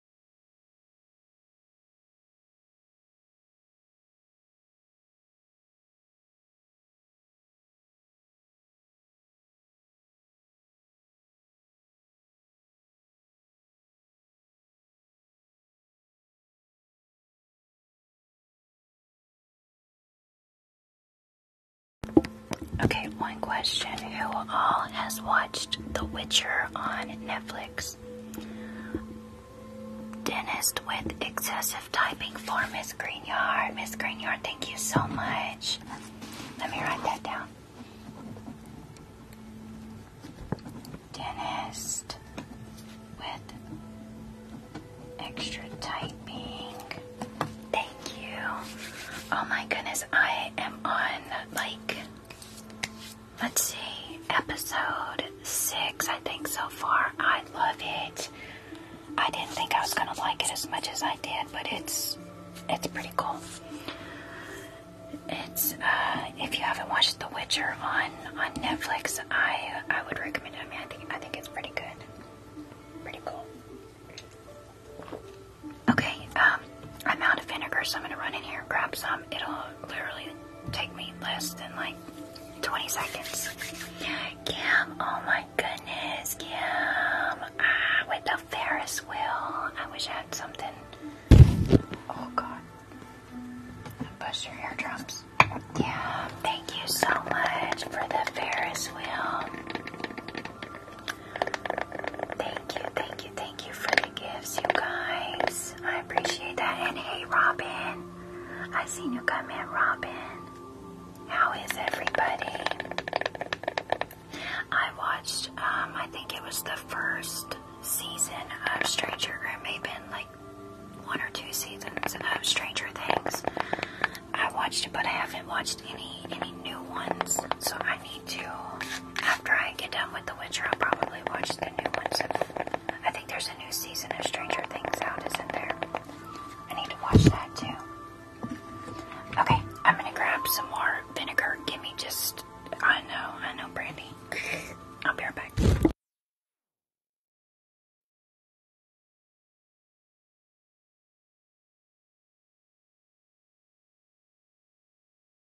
Speaker 3: Okay, one question. Who all has watched
Speaker 1: The Witcher on Netflix? Dentist with excessive typing for Miss Greenyard. Miss Greenyard, thank you so much. Let me write that down. Dentist with extra typing. Thank you. Oh my goodness, I am on like let's see, episode six, I think, so far. I love it. I didn't think I was gonna like it as much as I did, but it's it's pretty cool. It's uh, if you haven't watched The Witcher on on Netflix, I I would recommend it. I mean, I think I think it's pretty good, pretty cool. Okay, um, I'm out of vinegar, so I'm gonna run in here and grab some. It'll literally take me less than like 20 seconds. Cam, oh my goodness, Kim! Ah, with the Ferris wheel. I wish I had something. Oh god. I bust your eardrums. Yeah, thank you so much for the Ferris wheel. Thank you, thank you, thank you for the gifts, you guys. I appreciate that. And hey, Robin. I seen you come in, Robin. How is everybody? I watched, um, I think it was the first season of Stranger, or maybe like one or two seasons of Stranger Things. I watched it, but I haven't watched any any new ones. So I need to. After I get done with The Witcher, I'll probably watch the new ones I think there's a new season of Stranger Things out, isn't there? I need to watch that too. Okay, I'm gonna grab some
Speaker 3: more vinegar. Give me just. I know, I know, Brandy. I'll be right back.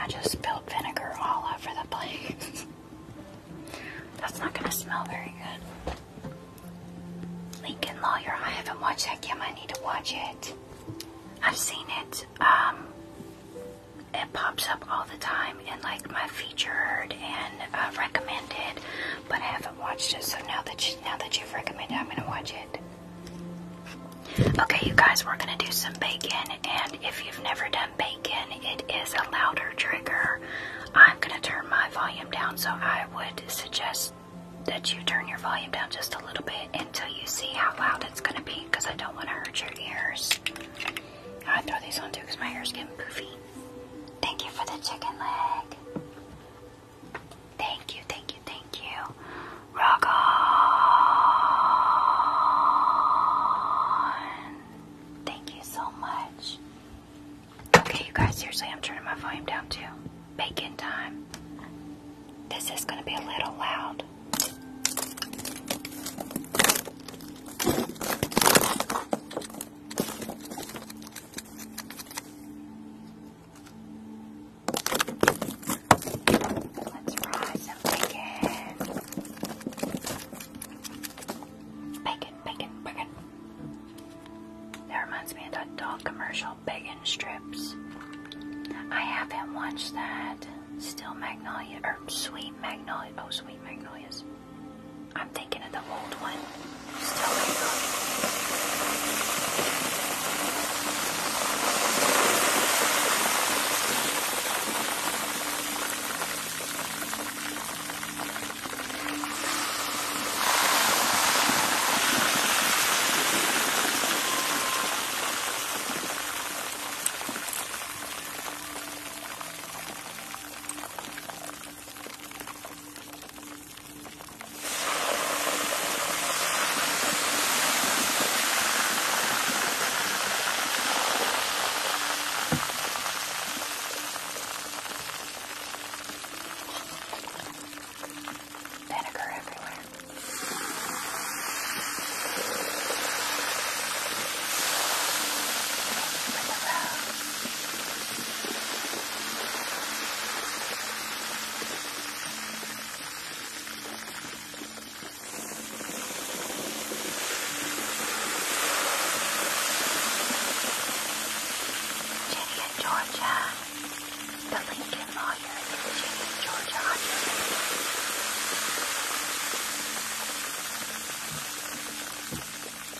Speaker 3: I just spilled vinegar all over the place. That's not gonna smell very good.
Speaker 1: Lincoln Lawyer, I haven't watched that yet. I need to watch it. I've seen it. Um, it pops up all the time in like my featured and uh, recommended, but I haven't watched it. So now that you, now that you've recommended, I'm gonna watch it. Okay, you guys, we're gonna do some bacon, and if you've never done bacon, it is a louder trigger. I'm gonna turn my volume down, so I would suggest that you turn your volume down just a little bit until you see how loud it's gonna be, because I don't want to hurt your ears. I throw these on too, because my hair's getting poofy. Thank you for the chicken leg. Thank you, thank you, thank you. Rock on. Thank you so much. Okay, you guys, seriously, I'm turning my volume down too. Bacon time. This is going to be a little loud. Let's fry some bacon. Bacon, bacon, bacon. That reminds me of that dog commercial, Bacon Strips. I haven't watched that. Still Magnolia, or Sweet Magnolia. Oh, Sweet Magnolias. I'm thinking of the old one. Still here. Vinegar everywhere. With the road. Jenny in Georgia, the Lincoln lawyer in Jenny in Georgia on your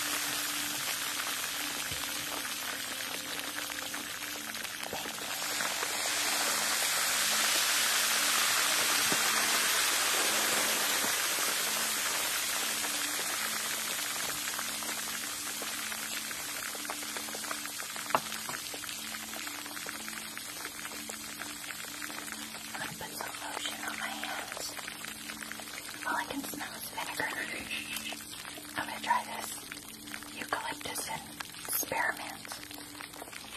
Speaker 1: I'm going to put some lotion on my hands. All I can smell is vinegar. I'm gonna try this. Eucalyptus and spearmint.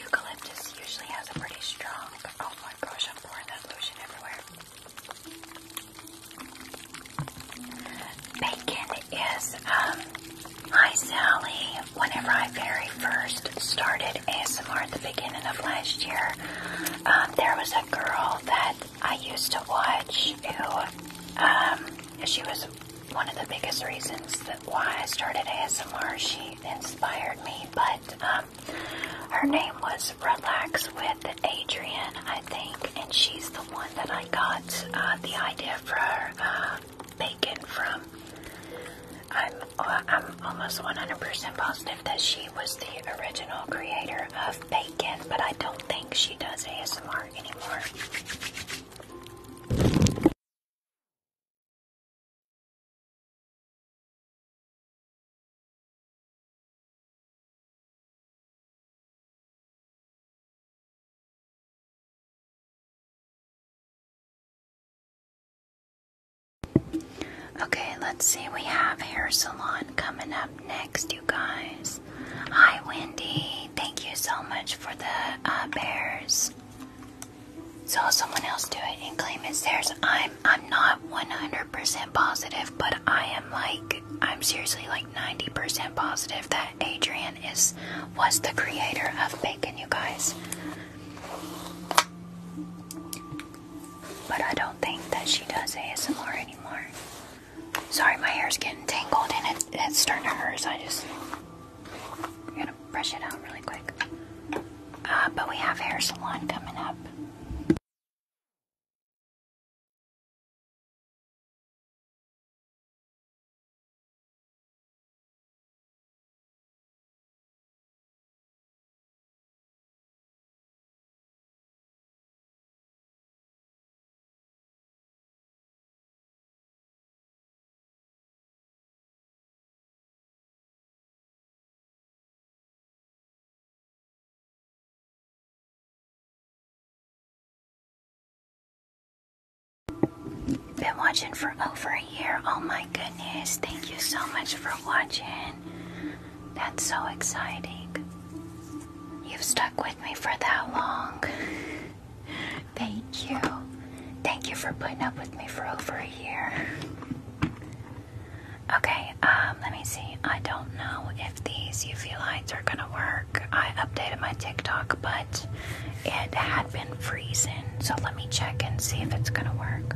Speaker 1: Eucalyptus usually has a pretty strong, oh my gosh, I'm pouring that lotion everywhere. Bacon is, um, hi Sally. Whenever I very first started ASMR at the beginning of last year, um, there was a girl that I used to watch who, um, she was one of the biggest reasons that why I started ASMR. She inspired me, but um, her name was Relax with Adrian, I think, and she's the one that I got uh, the idea for uh, bacon from. I'm, I'm almost 100% positive that she was the original creator of bacon, but I don't think she does ASMR anymore.
Speaker 3: Okay, let's see. We have hair salon coming up next, you guys.
Speaker 1: Hi, Wendy. Thank you so much for the uh, bears. So someone else do it and claim it's theirs. I'm I'm not 100% positive, but I am like I'm seriously like 90% positive that Adrian is was the creator of bacon, you guys. But I don't think that she does ASMR anymore. Sorry, my hair's getting tangled and it's starting to hurt, so I just. I'm
Speaker 3: gonna brush it out really quick. Uh, but we have hair salon coming up. Been watching for over a year. Oh
Speaker 1: my goodness. Thank you so much for watching. That's so exciting. You've stuck with me for that long. Thank you. Thank you for putting up with me for over a year. Okay, um, let me see. I don't know if these UV lights are gonna work. I updated my TikTok, but it had been freezing,
Speaker 3: so let me check and see if it's gonna work.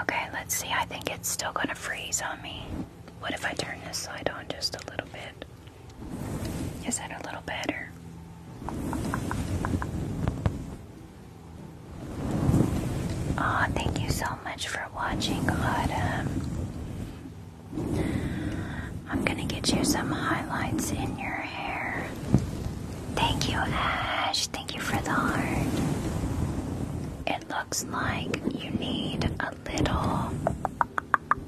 Speaker 3: Okay, let's see. I think it's still going to freeze on me. What if I turn this light on just a little bit?
Speaker 1: Is that a little better? Aw, thank you so much for watching, Autumn. I'm gonna get you some highlights in your hair. Thank you, Ash. Thank you for the heart. It looks like you need a little.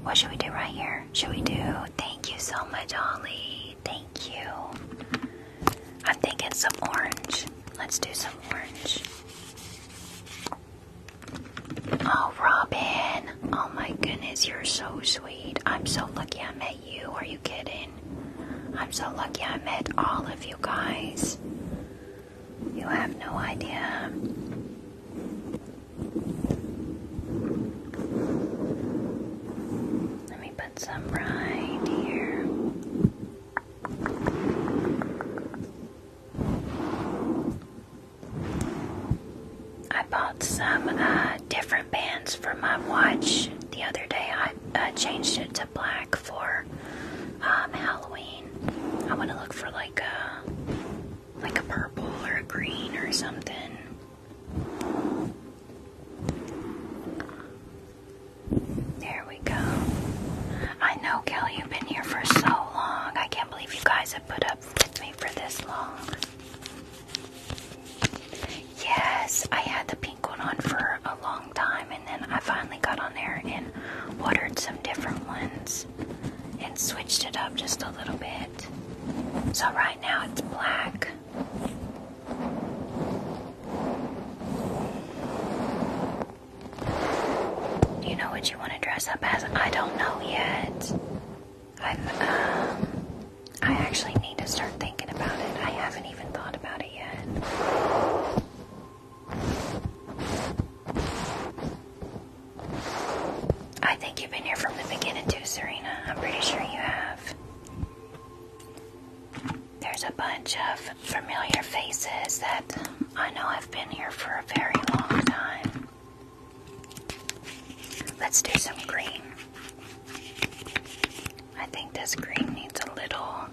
Speaker 1: What should we do right here? Should we do? Thank you so much, Ollie. Thank you. I'm thinking some orange. Let's do some orange. Oh, Robin. Oh my goodness, you're so sweet. I'm so lucky I met you. Are you kidding? I'm so lucky I met all of you guys. You have no idea. Let me put some right here. I bought some uh, different bands for my watch the other day. I uh, changed it to black for um, Halloween. I want to look for like a like a purple or a green or something. There we go. I know, Kelly, you've been here for so long. I can't believe you guys have put up with me for this long. Yes, I had the pink one on for a long time, and then I finally got on there and ordered some different ones and switched it up just a little bit. So right now it's black. Do you know what you want to dress up as? I don't know yet. I'm, um, I actually need to start thinking about it. I haven't even thought about it yet. I think you've been here from the beginning too, Serena. I'm pretty sure you have. There's a bunch of familiar faces that I know have been here for a very long time. Let's do some green. I think this green needs a little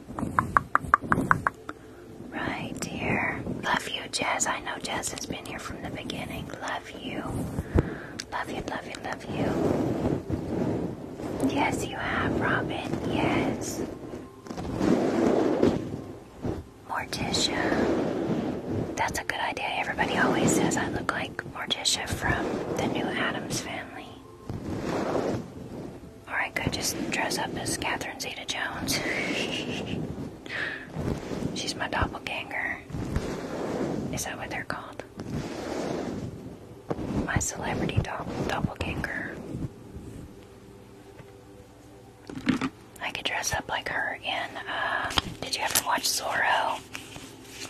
Speaker 1: right here. Love you, Jazz. I know Jazz has been here from the beginning. Love you. Love you, love you, love you. Yes, you have, Robin. Yes. Morticia. That's a good idea. Everybody always says I look like Morticia from the new Adams family. Or I could just dress up as Catherine Zeta Jones. She's my doppelganger. Is that what they're called? my celebrity Double doppelganger. I could dress up like her in, uh, did you ever watch Zorro?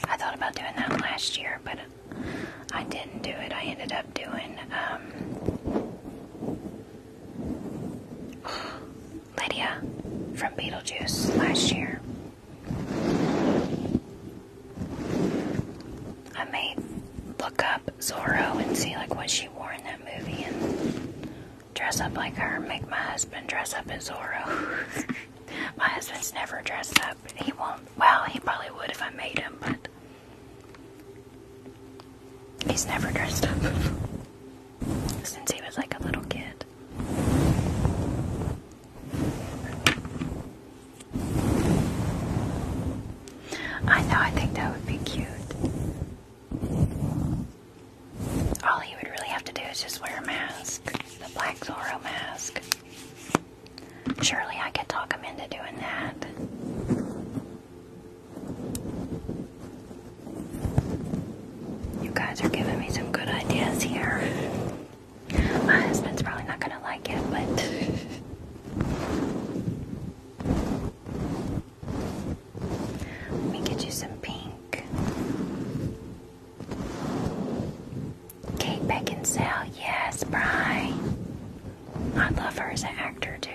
Speaker 1: I thought about doing that last year, but I didn't do it. I ended up doing, um, Lydia from Beetlejuice last year. I may look up Zorro and see like what she wore in that movie and dress up like her make my husband dress up as Zorro. my husband's never dressed up. He won't. Well, he probably would if I made him, but he's never dressed up since he was like a little kid. I know, I think that would be cute. All he would really have to do is just wear a mask, the Black Zorro mask. Surely I could talk him into doing that. You guys are giving me some good ideas here. My husband's probably not gonna like it, but let me get you some pink. Kate Beckinsale, yes, Bry. I love her as an actor too.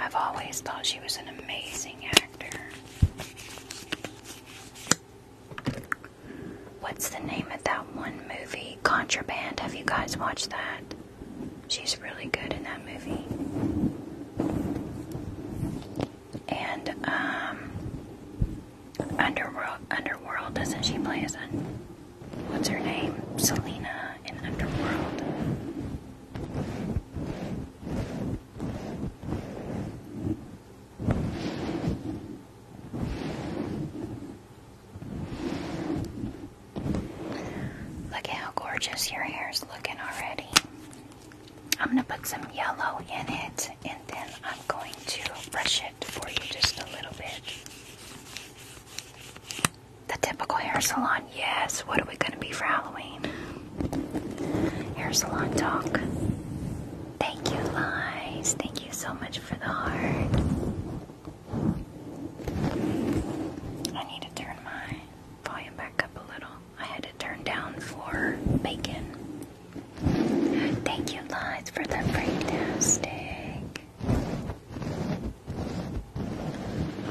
Speaker 1: I've always thought she was an amazing actor. What's the name of that one movie? Contraband. Have you guys watched that? She's really good in that movie. And um, Underworld, Underworld, doesn't she play as un what's her name, Selena in Underworld? Look how gorgeous your hair is looking already. I'm going to put some yellow in it and then I'm going to brush it for you just a little bit. The typical hair salon, yes. What are we going to be for Halloween? Hair salon talk. Thank you, Lies. Thank you so much for the heart. I need to turn my volume back up a little. I had to turn down for bacon. Thank you, Lights, for the fantastic.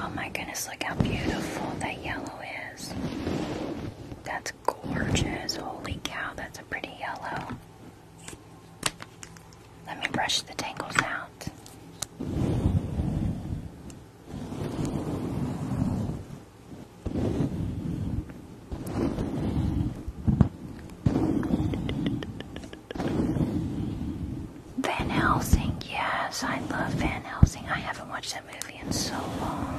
Speaker 1: Oh my goodness, look how beautiful that yellow is. That's gorgeous. Holy cow, that's a pretty yellow. Let me brush the tangles out. Van Helsing, yes, I love Van Helsing. I haven't watched that movie in so long.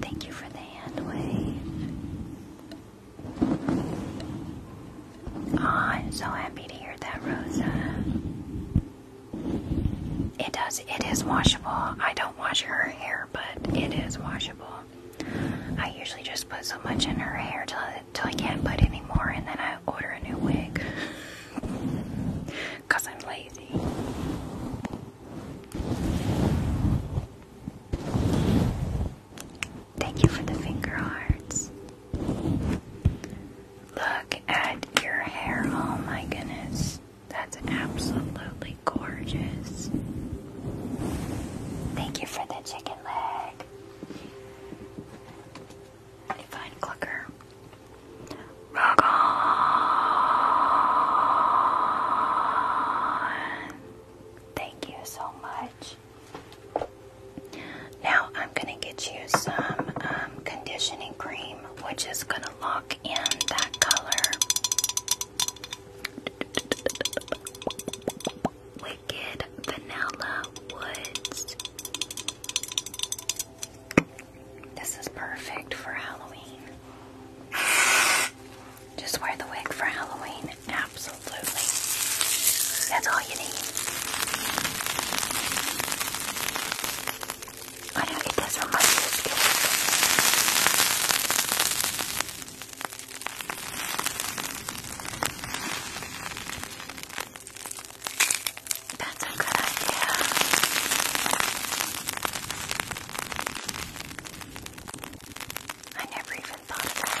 Speaker 1: Thank you for the hand wave. I'm so happy to hear that, Rosa. It does, it is washable. I don't wash her hair, but it is washable. I usually just put so much in her hair till till I can't put anymore, and then I order a new wig because I'm lazy. Thank you for the finger hearts. Look at your hair. Oh my goodness. That's absolutely gorgeous. Thank you for the chicken leg a fine clucker. Rock Thank you so much. Now I'm going to get you some um, conditioning cream, which is going to lock in that color. Vanilla Woods. This is perfect for Halloween. Just wear the wig for Halloween. Absolutely. That's all you need. I know it does remind me of this that's a good idea. I never even thought of that.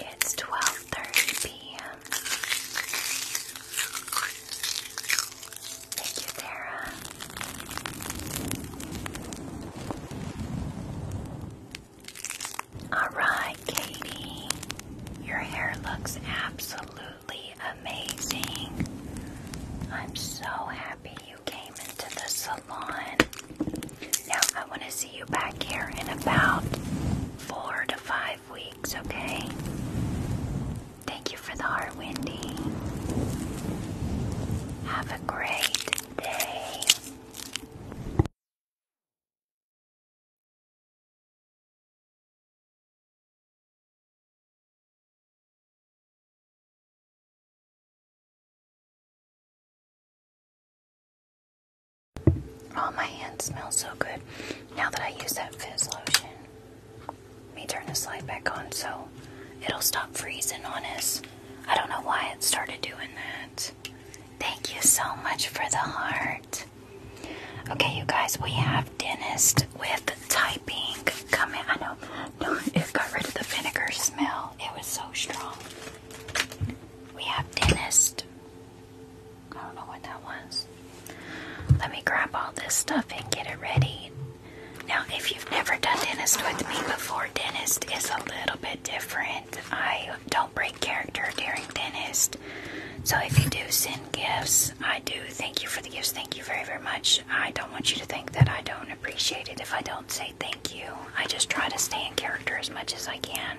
Speaker 1: It's 12:30 p.m. Thank you, Tara. All right, Katie. Your hair looks absolutely amazing. I'm so happy you came into the salon. Now, I want to see you back here in about four to five weeks, okay? Thank you for the heart, Wendy. Have a great day.
Speaker 3: Oh, my hands smell so good now that I use that fizz lotion. Let me turn the slide back on so
Speaker 1: it'll stop freezing on us. I don't know why it started doing that. Thank you so much for the heart. Okay, you guys, we have dentist with typing coming. I know It got rid of the vinegar smell. It was so strong. We have dentist. I don't know what that was. Let me grab all this stuff and get it ready. Now, if you've never done dentist with me before, dentist is a little bit different. I don't break character during dentist. So if you do send gifts, I do thank you for the gifts. Thank you very, very much. I don't want you to think that I don't appreciate it if I don't say thank you. I just try to stay in character as much as I can.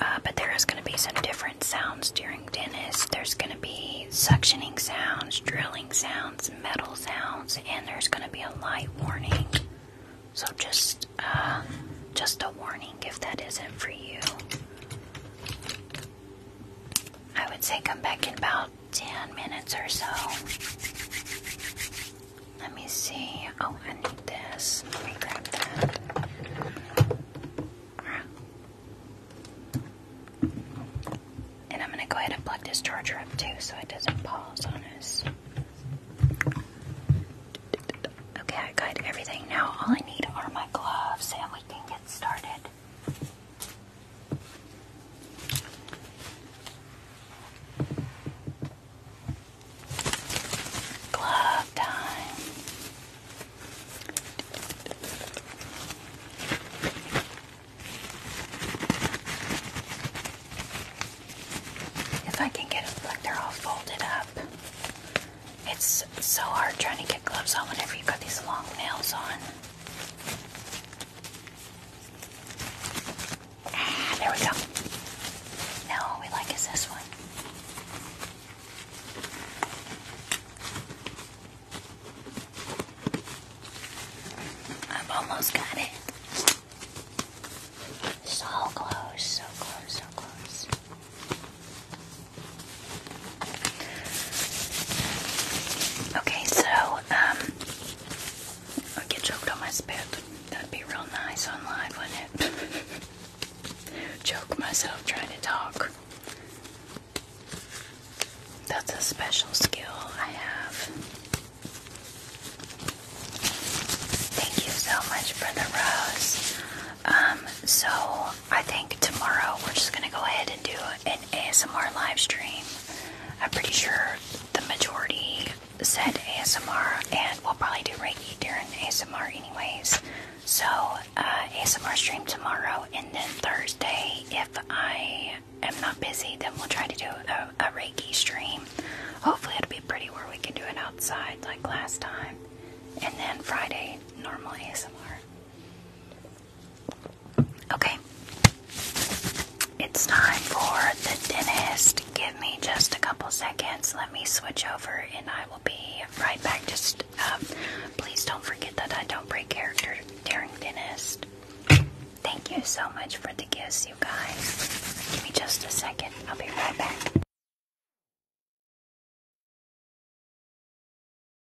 Speaker 1: Uh, but there is going to be some different sounds during Dennis. There's going to be suctioning sounds, drilling sounds, metal sounds, and there's going to be a light warning. So just, uh, just a warning if that isn't for you. I would say come back in about 10 minutes or so. Let me see. Oh, I need this. And I'm going to go ahead and plug this charger up too so it doesn't pause on us. Okay, I got everything. Now all I need are my gloves and we can get started. Glove time. If I can get them like they're all folded up. It's so hard trying to get gloves on whenever you've got these long nails on. Ah, there we go. Now we like is this one. I've almost got it. So close, so close, so close. Okay, so um I get choked on my spit. That'd be real nice on live, wouldn't it? Choke myself trying to talk. That's a special skill I have. Thank you so much for the rose. Um, so I think tomorrow we're just gonna go ahead and do it. ASMR live stream. I'm pretty sure the majority said ASMR, and we'll probably do Reiki during ASMR anyways. So, uh, ASMR stream tomorrow, and then Thursday, if I am not busy, then we'll try to do a, a Reiki stream. Hopefully, it'll be pretty where we can do it outside like last time. And then Friday, normal ASMR. Okay. It's time for the dentist. Give me just a couple seconds. Let me switch over and I will be right back. Just um, please don't forget that I don't break character during dentist. Thank you so much
Speaker 3: for the gifts, you guys. Give me just a second. I'll be right back.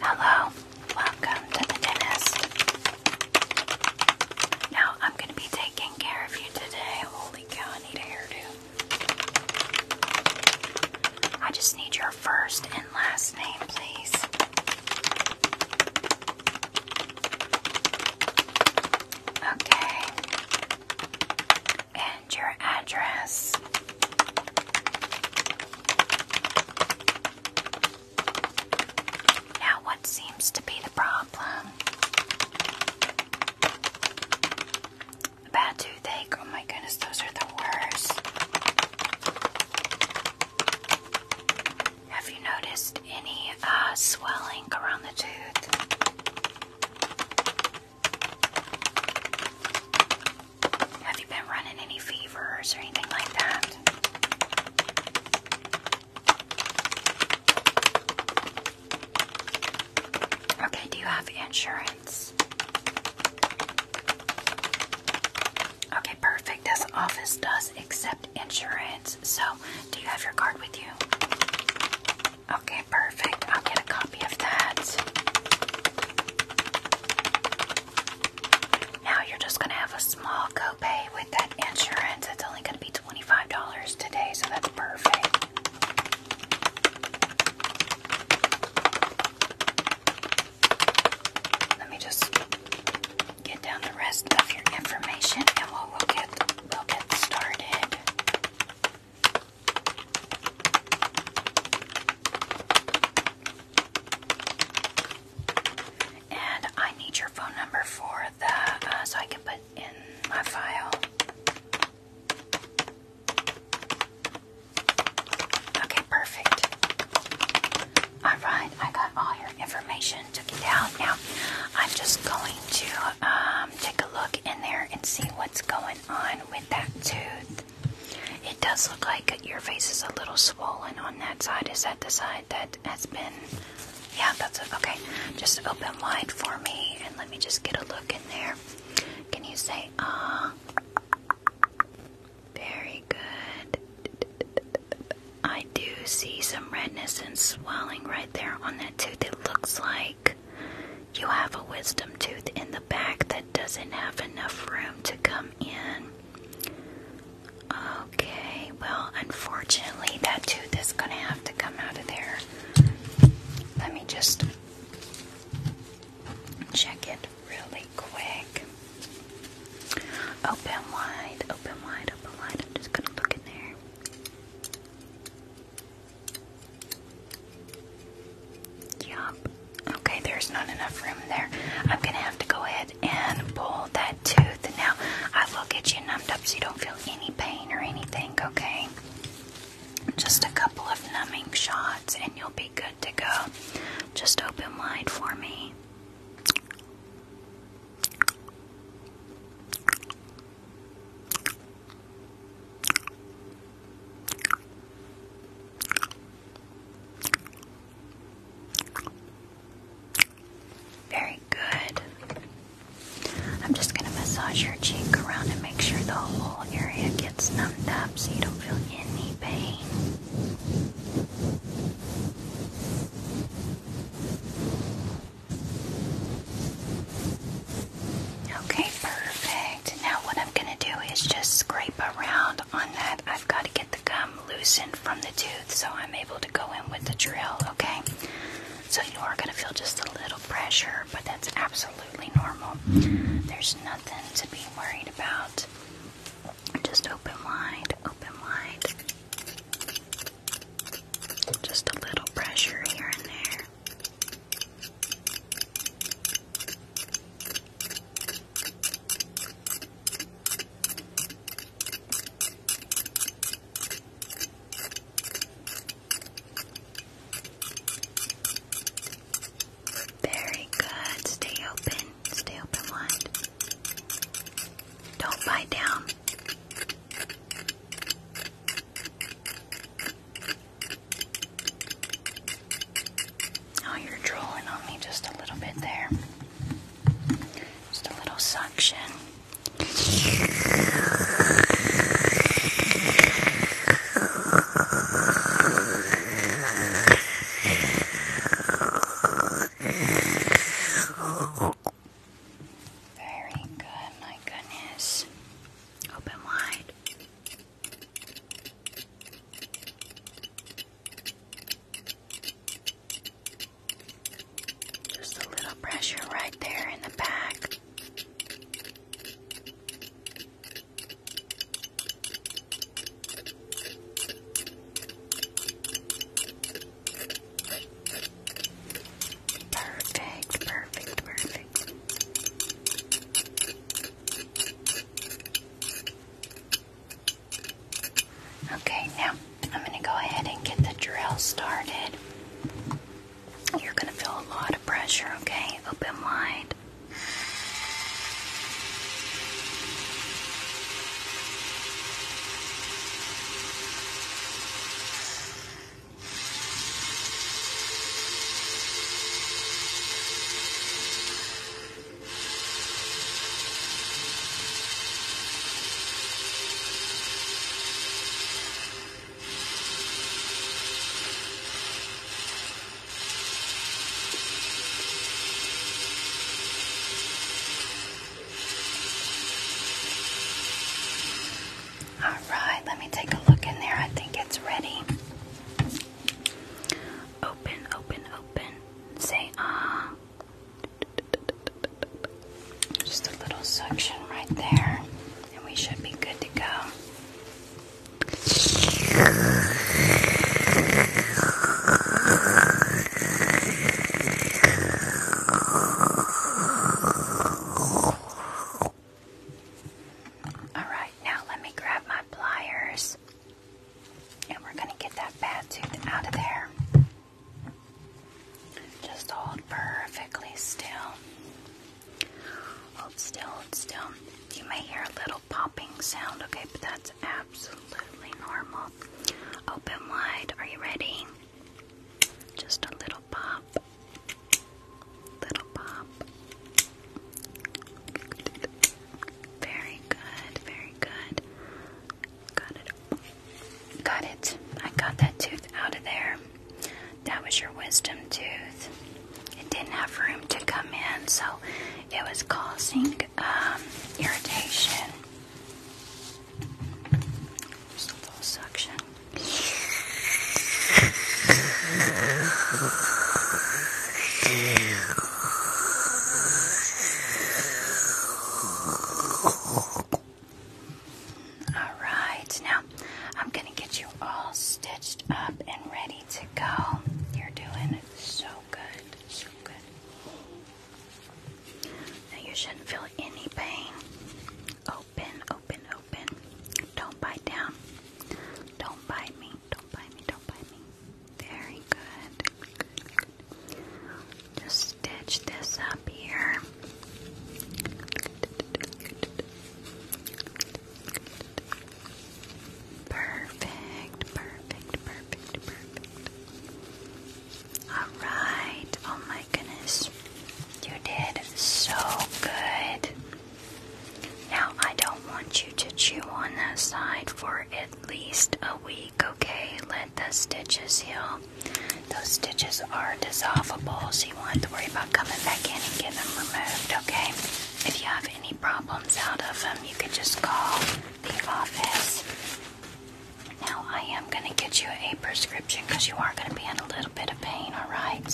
Speaker 1: Hello, welcome to the dentist. Now I'm going to be taking care of you today. Holy cow, I need a hairdo. I just need your first and last name, please. Okay and your address. Now, what seems to be the problem? A bad toothache. Oh my goodness, those are the worst. Have you noticed any uh, swelling around the tooth? Have you been running any fevers or anything like that? Okay, do you have insurance? Okay, perfect. This office does accept insurance. So, do you have your card with you? Okay, perfect. I'll get a copy of that. Now you're just going to have a small copay with that insurance. It's only going to be $25 today, so that's perfect. Let me just get down the rest of your information and we'll get we'll get started. And I need your phone number for the uh, so I can put in my file. Okay, perfect. All right, I got all your information, took it down. Now I'm just going to um, take a look in there and see what's going on with that tooth. It does look like your face is a little swollen on that side. Is that the side that has been? Yeah, that's Okay, just open wide for me and let me just get a look in there. Can you say, ah? Very good. I do see some redness and swelling right there on that tooth. It looks like you have a wisdom tooth in the back that doesn't have enough room to come in. Okay, well, unfortunately, that tooth is going to have to come out of there. Let me just check it really quick. Open wide, open wide, open wide. I'm just going to look in there. Yup. Okay, there's not enough room there. I'm gonna have to go ahead and pull that tooth. Now, I will get you numbed up so you don't feel any pain or anything, okay? Just a couple of numbing shots and you'll be good to go. Just open wide for me. Very good. I'm just going to massage your cheek around and make sure the whole area gets numbed up so you don't feel any pain. Okay, perfect now what I'm going to do is just scrape around on that. I've got to get the gum loosened from the tooth so I'm able to go in with the drill, okay? So you are going to feel just a little pressure, but that's absolutely normal. There's nothing to be worried about. Just open wide, open wide. Just a little pressure here and there. Very good. Stay open. Stay open wide. Don't bite down. Oh, you're drawing on me just a little bit there. Just a little
Speaker 2: suction. Very good, my goodness. Open wide.
Speaker 1: Just a little pressure right there in the back. Perfect, perfect, perfect. Okay, now I'm going to go ahead and get the drill started. You're going to feel a lot of pressure, okay? Open mind. All right, let me take a look in there. I think it's ready. Open, open, open. Say ah. Just a little suction right there, and we should be good to go. All right, now let me grab my pliers. And we're going to get that bad tooth out of there. Just hold perfectly still. Hold still, hold still. You may hear a little popping sound, okay, but that's absolutely normal. Open wide. Are you ready? Just a little pop. Little pop. Very good, very good. Got it. Got it. I got that tooth out of there. That was your wisdom tooth. It didn't have room to come in, so it was causing um, irritation. Just a little suction. All right, now I'm going to get you all stitched up and ready to go. You're doing so good, so good. you shouldn't feel any pain. Open, open, open. Don't bite down. Don't bite me. Don't bite me, don't bite me. Very good. Just stitch this up here. Perfect, perfect, perfect, perfect. Alright, oh my goodness. You did so good. Now, I don't want you to chew on that side for at least a week, okay? Let the stitches heal. Those stitches are dissolvable, so you won't have to worry about coming back in and getting them removed, okay? If you have any problems out of them, you could just call the office. Now, I am going to get you a prescription because you are going to be in a little bit of pain, alright?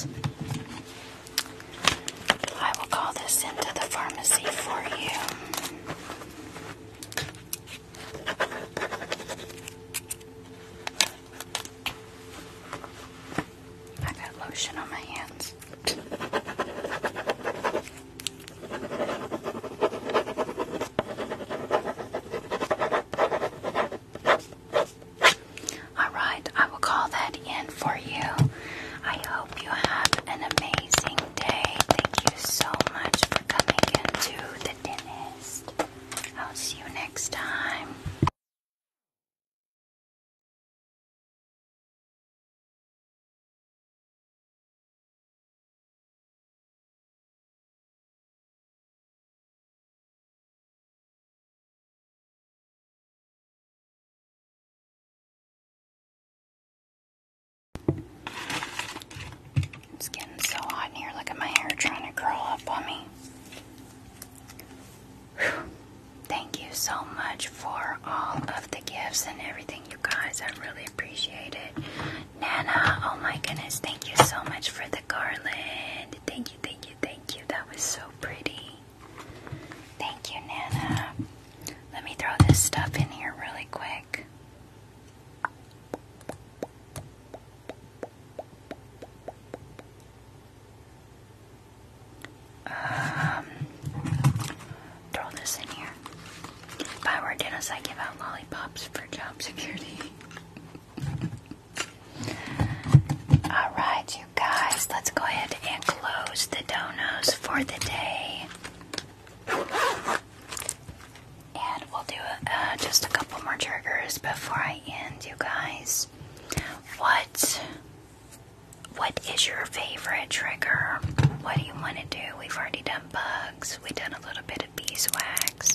Speaker 1: I will call this into the pharmacy for you. I got lotion on my hands.
Speaker 3: All right, I will call that in for you. I hope you have an amazing day. Thank you so much for coming into the dentist. I'll see you next time.
Speaker 1: It's getting so hot in here. Look at my hair trying to curl up on me. Thank you so much for all of the gifts and everything, you guys. I really appreciate it. Nana, oh my goodness, thank you so much for the garland. Thank you, thank you, thank you. That was so pretty. Thank you, Nana. Let me throw this stuff in here really quick. Um, throw this in here. If I were a dentist, I give out lollipops for job security. All right, you guys, let's go ahead and close the donos for the day. And we'll do uh, just a couple more triggers before I end, you guys. What what is your favorite trigger? What do you want to do? We've already done bugs. We've done a little bit of beeswax.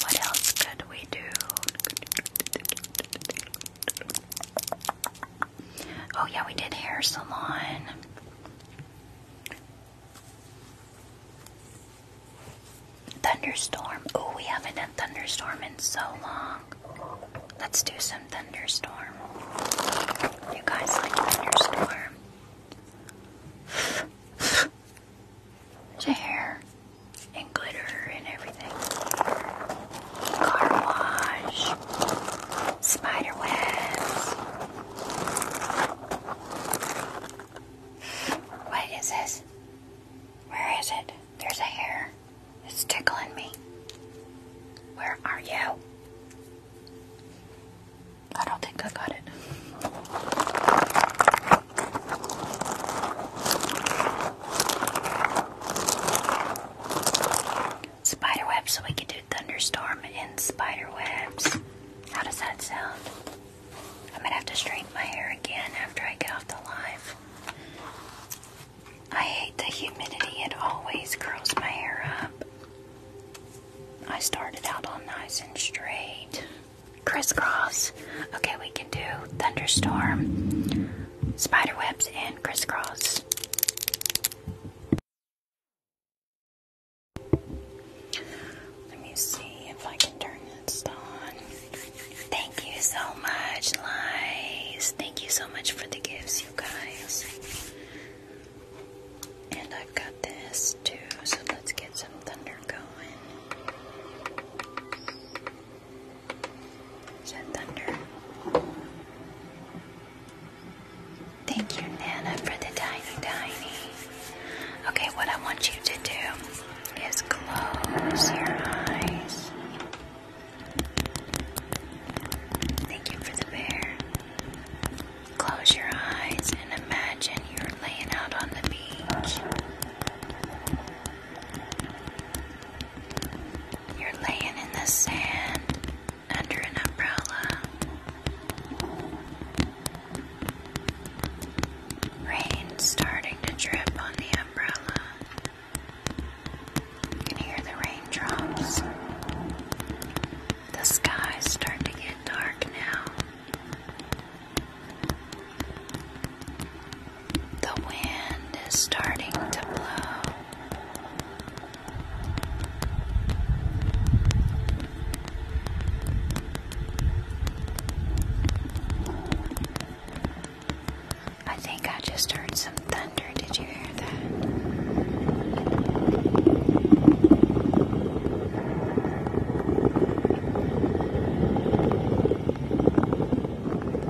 Speaker 2: What else could we do?
Speaker 1: Oh, yeah, we did hair salon. Thunderstorm. Oh, we haven't done thunderstorm in so long. Let's do some thunderstorm. You guys like thunderstorm? It's hair and glitter and everything car wash, spider webs. What is this? Where is it? There's a hair. It's tickling me. Where are you? I don't think I got it. Spider webs, so we could do thunderstorm and spider webs. How does that sound? I am gonna have to straighten my hair again after I get off the live. I hate the humidity, it always curls my hair up. I started out all nice and straight. Crisscross. Okay, we can do thunderstorm, spider webs, and crisscross. Let me see if I can turn this on. Thank you so much, Lies. Thank you so much for the gifts, you guys. And I've got this too, so let's get some thunder going. Is that thunder? Thank you, Nana, for the tiny, tiny. Okay, what I want you to do is close your eyes. Thank you for the bear. Close your eyes and imagine you're laying out on the beach. You're laying in the sand, under an umbrella. Rain starting to drip on the umbrella. You can hear the raindrops. The sky's starting to get dark now. The wind is starting to blow. I think I just heard some thunder. Did you hear that?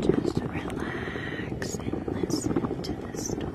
Speaker 2: Just relax and listen to the storm.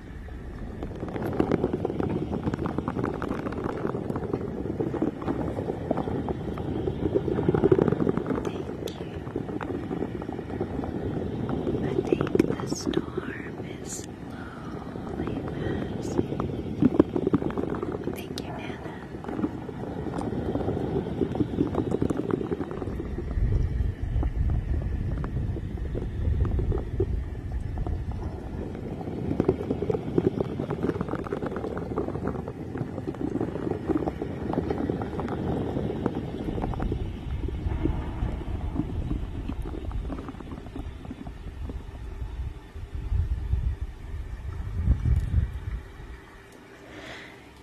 Speaker 2: I think the storm is slowly passing. Thank you, Nana.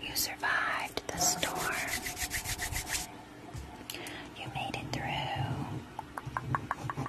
Speaker 1: You survived the storm. You made it through.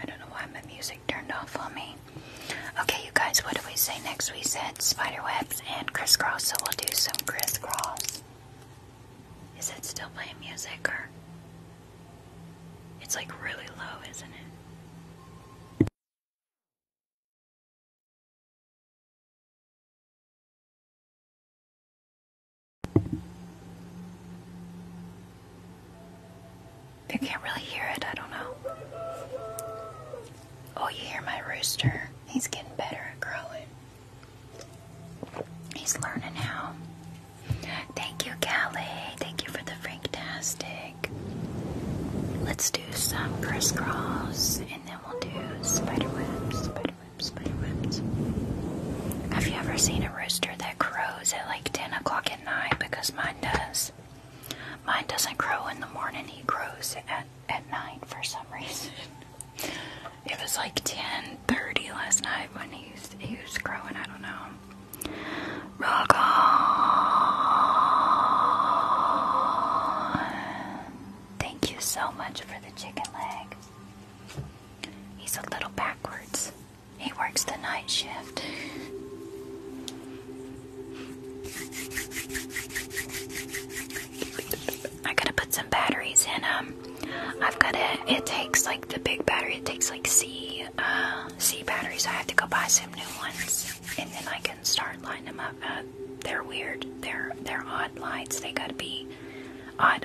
Speaker 3: I don't know why my music turned off on me.
Speaker 1: Okay, you guys, what do we say next? We said spiderwebs and crisscross, so we'll do some crisscross. Is it still playing music or?
Speaker 3: It's like really low, isn't it?
Speaker 1: I can't really hear it. I don't know. Oh, you hear my rooster? He's getting better at growing. He's learning how. Thank you, Callie. Thank you for the Franktastic. Let's do some crisscross and then we'll do spiderwebs, spiderwebs, spiderwebs. Have you ever seen a rooster that crows? crows at like 10 o'clock at night because mine does. Mine doesn't grow in the morning, he grows at, at night for some reason. It was like 10.30 last night when he was, he was crowing, I don't know. Rock on! Thank you so much for the chicken leg. He's a little backwards. He works the night shift. I gotta put some batteries in them. Um, I've got to it takes like the big battery it takes like C uh, C batteries I have to go buy some new ones and then I can start lining them up uh, they're weird they're they're odd lights they gotta be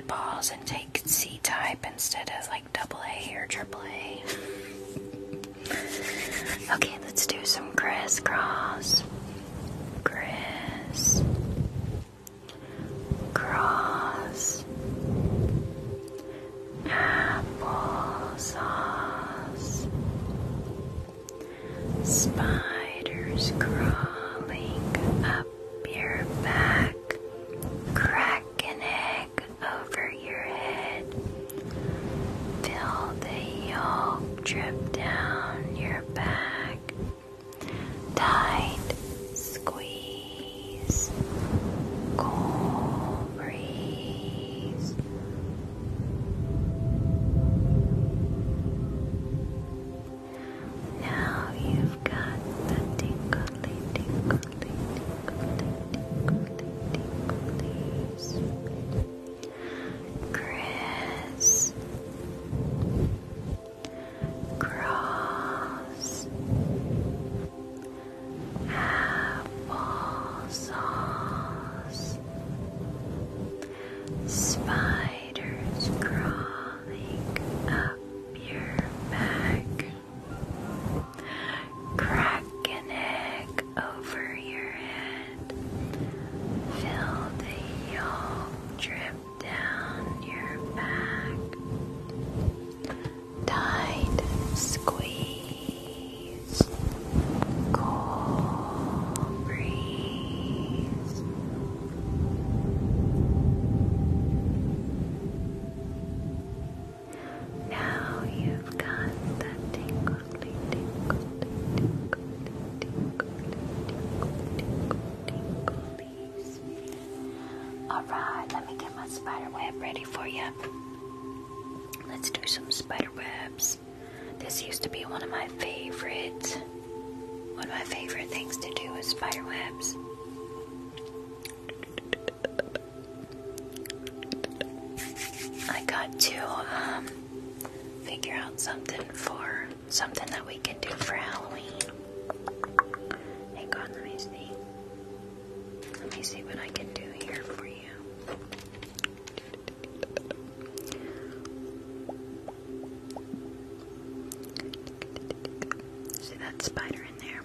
Speaker 1: balls and take C type instead of like double A or triple A. okay, let's do some crisscross. Criss.
Speaker 2: Cross.
Speaker 1: Spiders crawling up your back. Crack an egg over your head. Feel the yolk drip down your back. Tight squeeze. Cool breeze.
Speaker 2: Now you've got the tingly, tingly, please. Chris Cross Apple
Speaker 1: Spiders crawling up your back Crack an egg over your head. Feel the yolk drip down your back. Tight squeeze. Cool breeze. Now you've got the tingle, tingle, tingle, tingle, tingle, tinglies. Alright, let me get my spider web ready for you. Let's do some spider webs. This used to be one of my favorite one of my favorite things to do is spider webs. I got to um, figure out something for something that we can do for Halloween. Hang on, let me see. Let me see what I can do here for you. See that spider in there?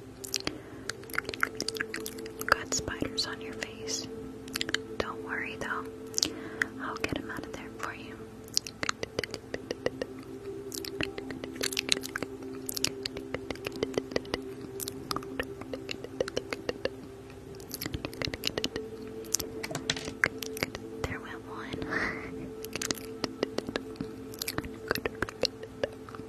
Speaker 1: got spiders on your face. Don't worry though. I'll get them out of there for you. There went one.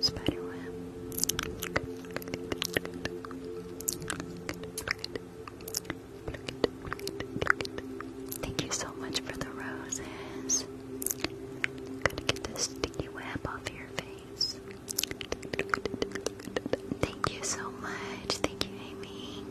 Speaker 1: Spiderweb. Thank you so much for the roses. Gotta get this sticky web off your face. Thank you so much. Thank you, Amy.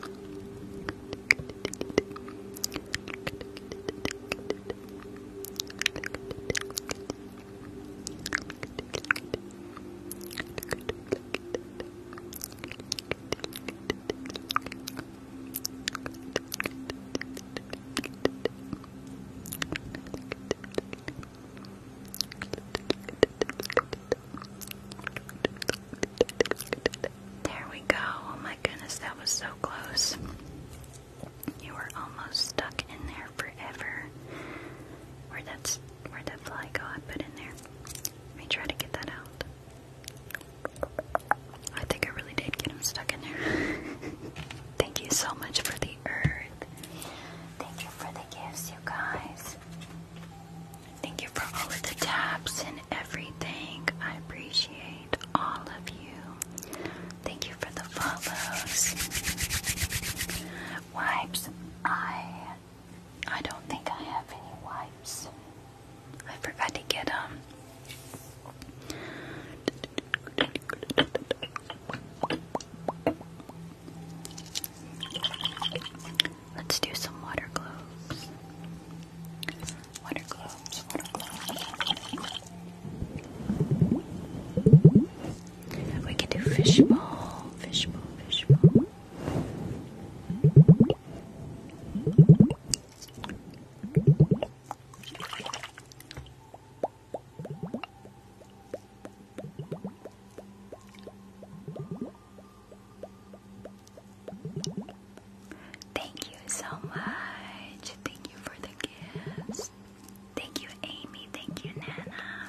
Speaker 1: There we go. Oh my goodness, that was so close. You were almost stuck in there forever. where that's where that fly got put in there. Let me try to get that out. I think I really did get him stuck in there. Thank you so much for the earth. Thank you for the gifts, you guys. Thank you for all of the taps and everything. I appreciate all of you. Thank you for the follows. Wipes. I I don't think I have any wipes. I forgot to get um Let's do some water globes. Water globes, We can do fishbowl, fishbowl, fishbowl. Thank you so much. Thank you for the gifts. Thank you, Amy. Thank you, Nana.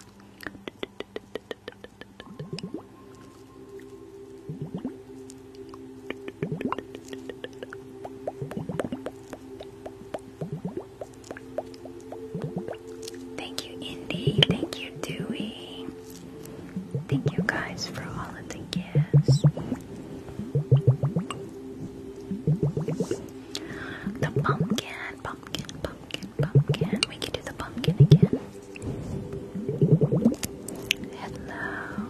Speaker 1: Thank you, Indy. Thank you, Dewey. Thank you guys for all of the gifts. The pumpkin, pumpkin, pumpkin, pumpkin. We can do the pumpkin again. Hello.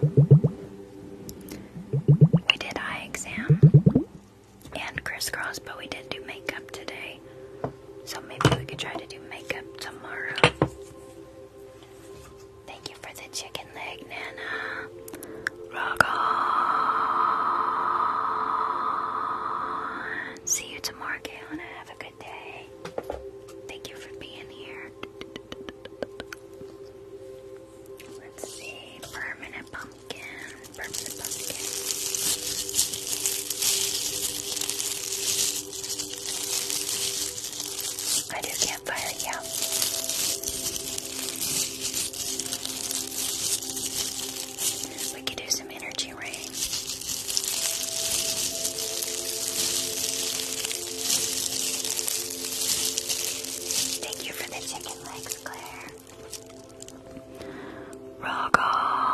Speaker 1: We did eye exam and crisscross, but we did do makeup today. So maybe we could try to do makeup tomorrow. Thank you for the chicken leg, Nana. Rock See you tomorrow, Kaylana. Have a good day. Thank you for being here. Let's see, permanent pumpkin, permanent pumpkin. I do campfire, yeah. We could do some energy rain. Thank you for the chicken legs, Claire. Rock on.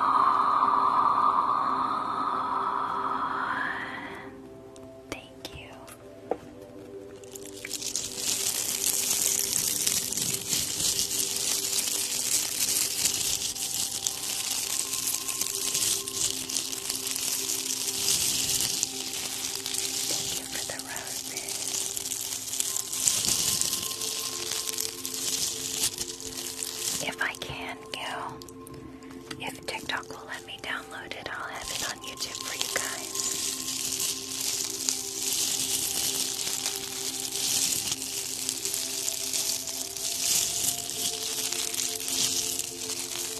Speaker 1: Thank you. Thank you for the roses. If I can, Gil, if TikTok will let me download it, I'll have it on YouTube for you guys.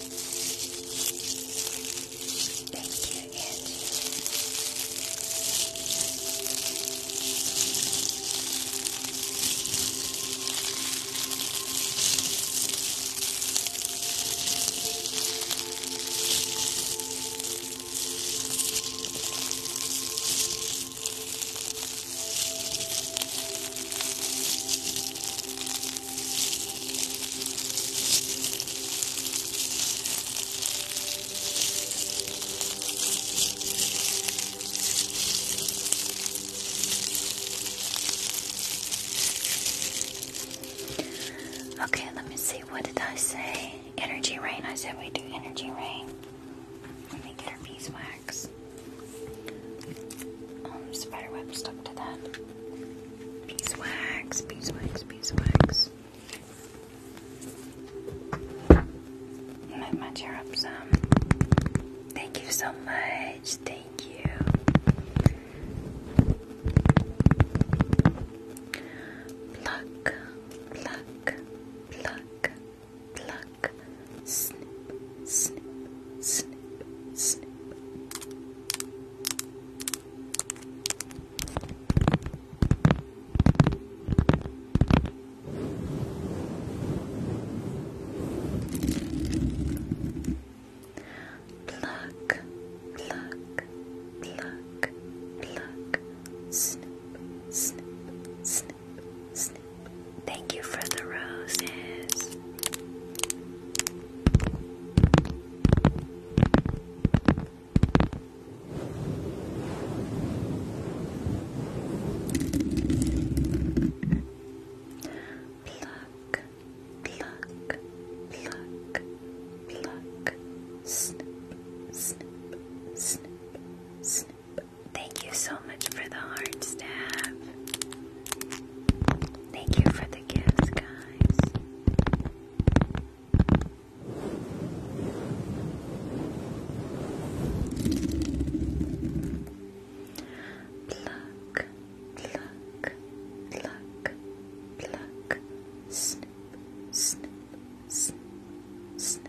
Speaker 1: Thank you, Angie. Okay, let me see. What did I say? Energy rain. I said we do energy rain. Let me get our beeswax. Um, spiderweb stuck to that. Beeswax, beeswax, wax. Move my chair up some. Thank you so much. Thank you.
Speaker 2: Pluck, pluck, pluck, pluck. Snip, snip, snip, snip. Pluck, pluck, pluck, pluck,
Speaker 1: snip, snip, snip, snip. Thank you for the roses. Pluck, pluck, pluck, pluck, snip, snip, snip, snip. Thank you so much for the heart stab. Thank you for the gifts, guys.
Speaker 2: Pluck, pluck, pluck, pluck. Snip, snip, snip, snip.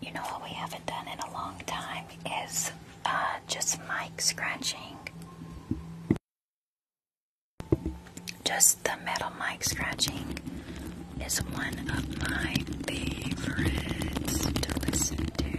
Speaker 1: you know what we haven't done in a long time is uh, just mic scratching. Just the metal mic scratching is one of my favorites
Speaker 2: to listen to.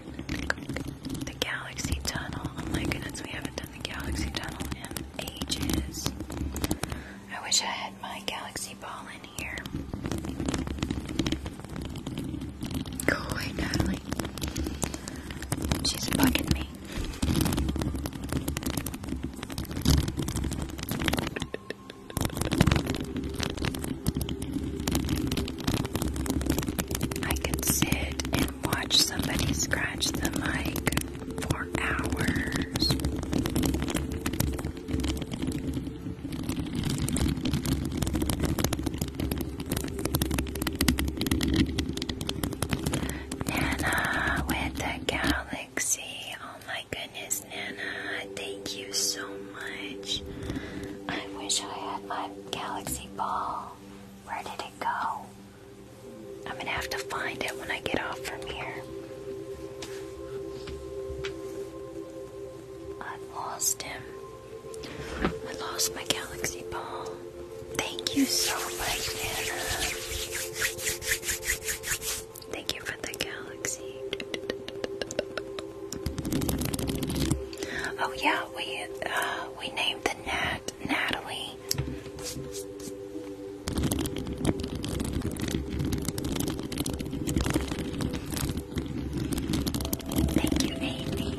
Speaker 1: The Galaxy Tunnel. Oh my goodness, we haven't done the Galaxy Tunnel in ages. I wish I had my Galaxy Ball in here.
Speaker 2: Go away, Natalie. She's bugging me.
Speaker 1: I could sit and watch somebody scratch the mic for hours. Nana with the galaxy. Oh my goodness, Nana. Thank you so much. I wish I had my galaxy ball. Where did it go? I'm gonna have to find it when I get off from here. I lost him. I lost my galaxy ball. Thank you so much, Anna. Thank you for the galaxy. Oh yeah, we uh, we named to Natalie.
Speaker 2: Thank you, Amy.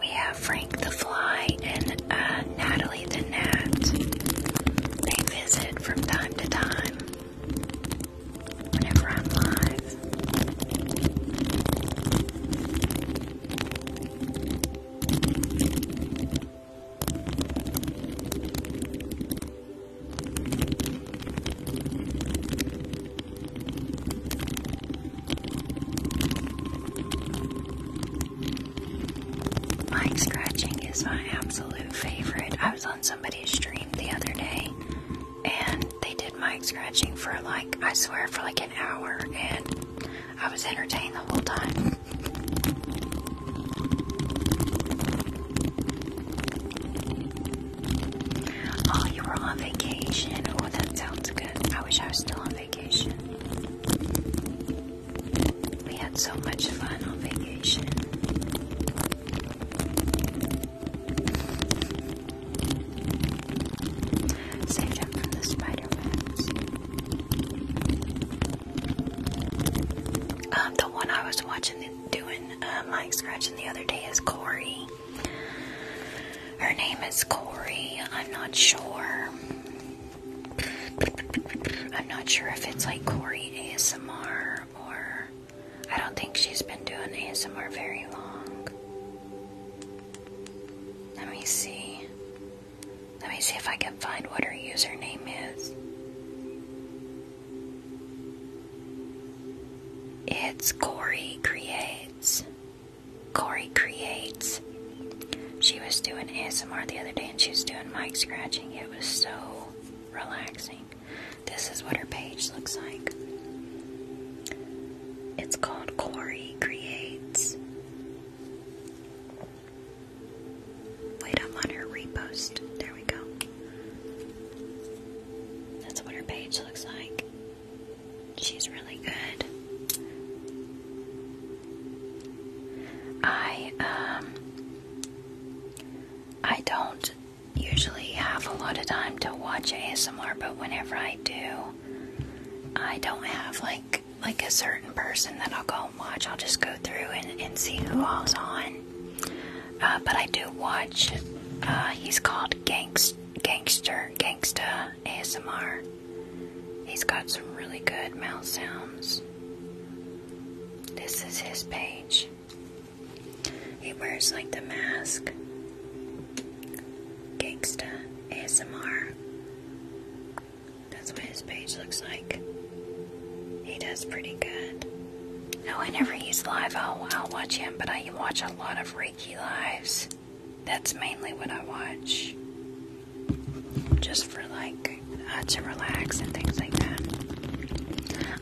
Speaker 2: We have Frank the Fly and uh, Natalie the Gnat. They visit from time to time
Speaker 1: whenever i scratching is my absolute favorite. I was on somebody somebody streamed the other day and they did mic scratching for like, I swear, for like an hour, and I was entertained the whole time. Oh, you were on vacation. Oh, that sounds good. I wish I was still on vacation. We had so much fun on vacation. Save them from the spider webs. Um, the one I was watching doing like uh, scratching the other day is Corey. Her name is Corey. I'm not sure. I'm not sure if it's like Corey ASMR or I don't think she's been doing ASMR very long. Let me see. Let me see if I can find what her username is. It's Corey Creates. Corey Creates. She was doing ASMR the other day and she was doing mic scratching. It was so relaxing. This is what her page looks like. It's called Corey Creates. Wait, I'm on her repost. There we go. That's what her page looks like. She's really good. I um I don't usually have a lot of time to watch ASMR, but whenever I do, I don't have like like a certain person that I'll go and watch. I'll just go through and, and see who all's on. Uh, but I do watch. Uh, he's called Gangst Gangster Gangsta ASMR. He's got some really good mouth sounds. This is his page. He wears like the mask. Gangsta ASMR. That's what his page looks like. He does pretty good. No, whenever he's live, I'll, I'll watch him, but I watch a lot of Reiki lives. That's mainly what I watch. Just for like uh, to relax and things like that.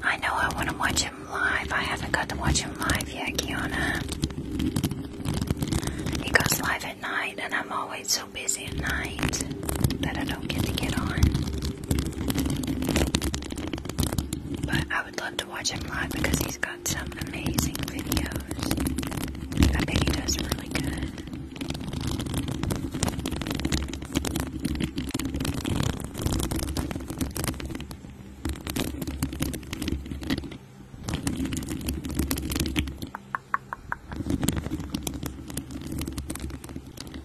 Speaker 1: I know I want to watch him live. I haven't got to watch him live yet, Kiana. He goes live at night, and I'm always so busy at night that I don't get to get on. But I would love to watch him live because he's got some amazing videos. I bet he does really good.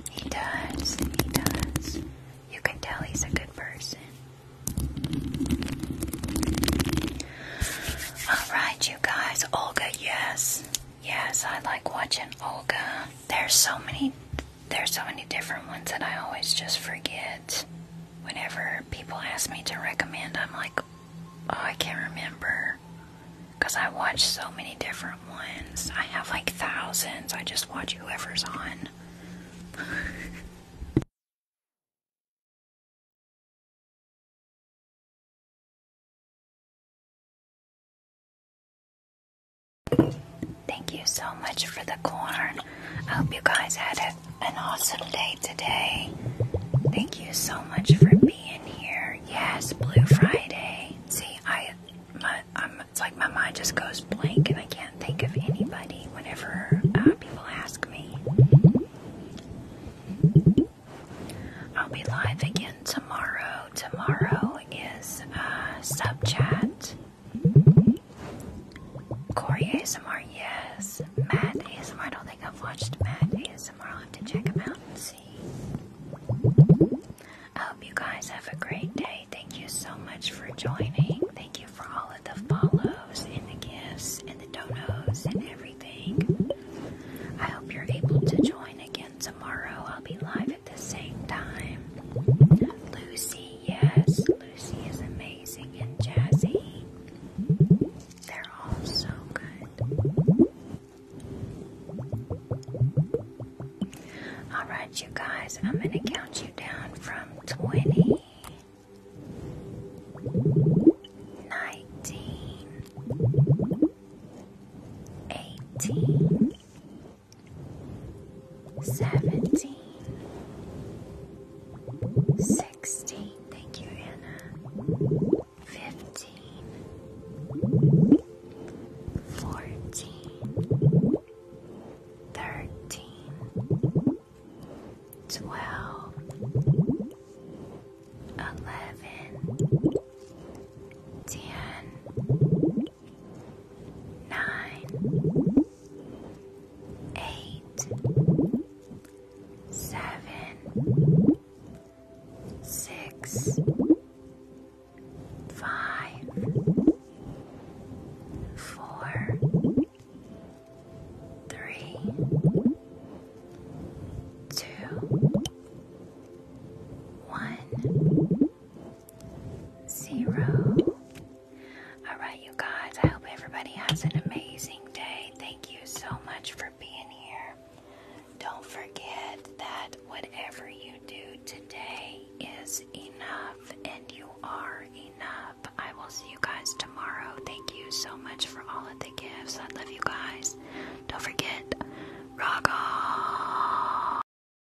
Speaker 1: He does, he does. You can tell he's a good person. Alright, you guys. Olga, yes. Yes, I like watching Olga. There's so many there's so many different ones that I always just forget. Whenever people ask me to recommend, I'm like, oh, I can't remember. Because I watch so many
Speaker 3: different ones. I have like thousands. I just watch whoever's on. Thank you so much for the corn. I hope you guys had an
Speaker 1: awesome day today. Thank you so much for being here. Yes, Blue Friday. See, I, my, I'm, it's like my mind just goes blank and I can't think of anybody whenever uh, people ask me. I'll be live again tomorrow tomorrow is uh, sub chat. Corey ASMR, yes. Matt ASMR, I don't think I've watched Matt ASMR. I'll have to check him out and see. I hope you guys have a great day. Thank you so much for joining. Thank you for all of the follows and the gifts and the donos and everything. I hope you're able to join again tomorrow. I'll be live at the same time. Lucy, yes, Lucy is amazing, and Jazzy. They're all so good. Alright, you guys, I'm going to count you down from 20, 19, 18, seventeen, sixteen. Thank you, Anna. Fifteen, fourteen,
Speaker 2: thirteen,
Speaker 1: twelve, eleven, ten nine,
Speaker 2: eight, seven, six,
Speaker 1: five, four, three, two, one zero. All right, you guys, I hope everybody has an amazing day. Thank you so much for being here. Don't forget that whatever you do today is enough and you are enough. I will see you guys tomorrow. Thank you so much for all of the gifts. I love you guys. Don't forget, rock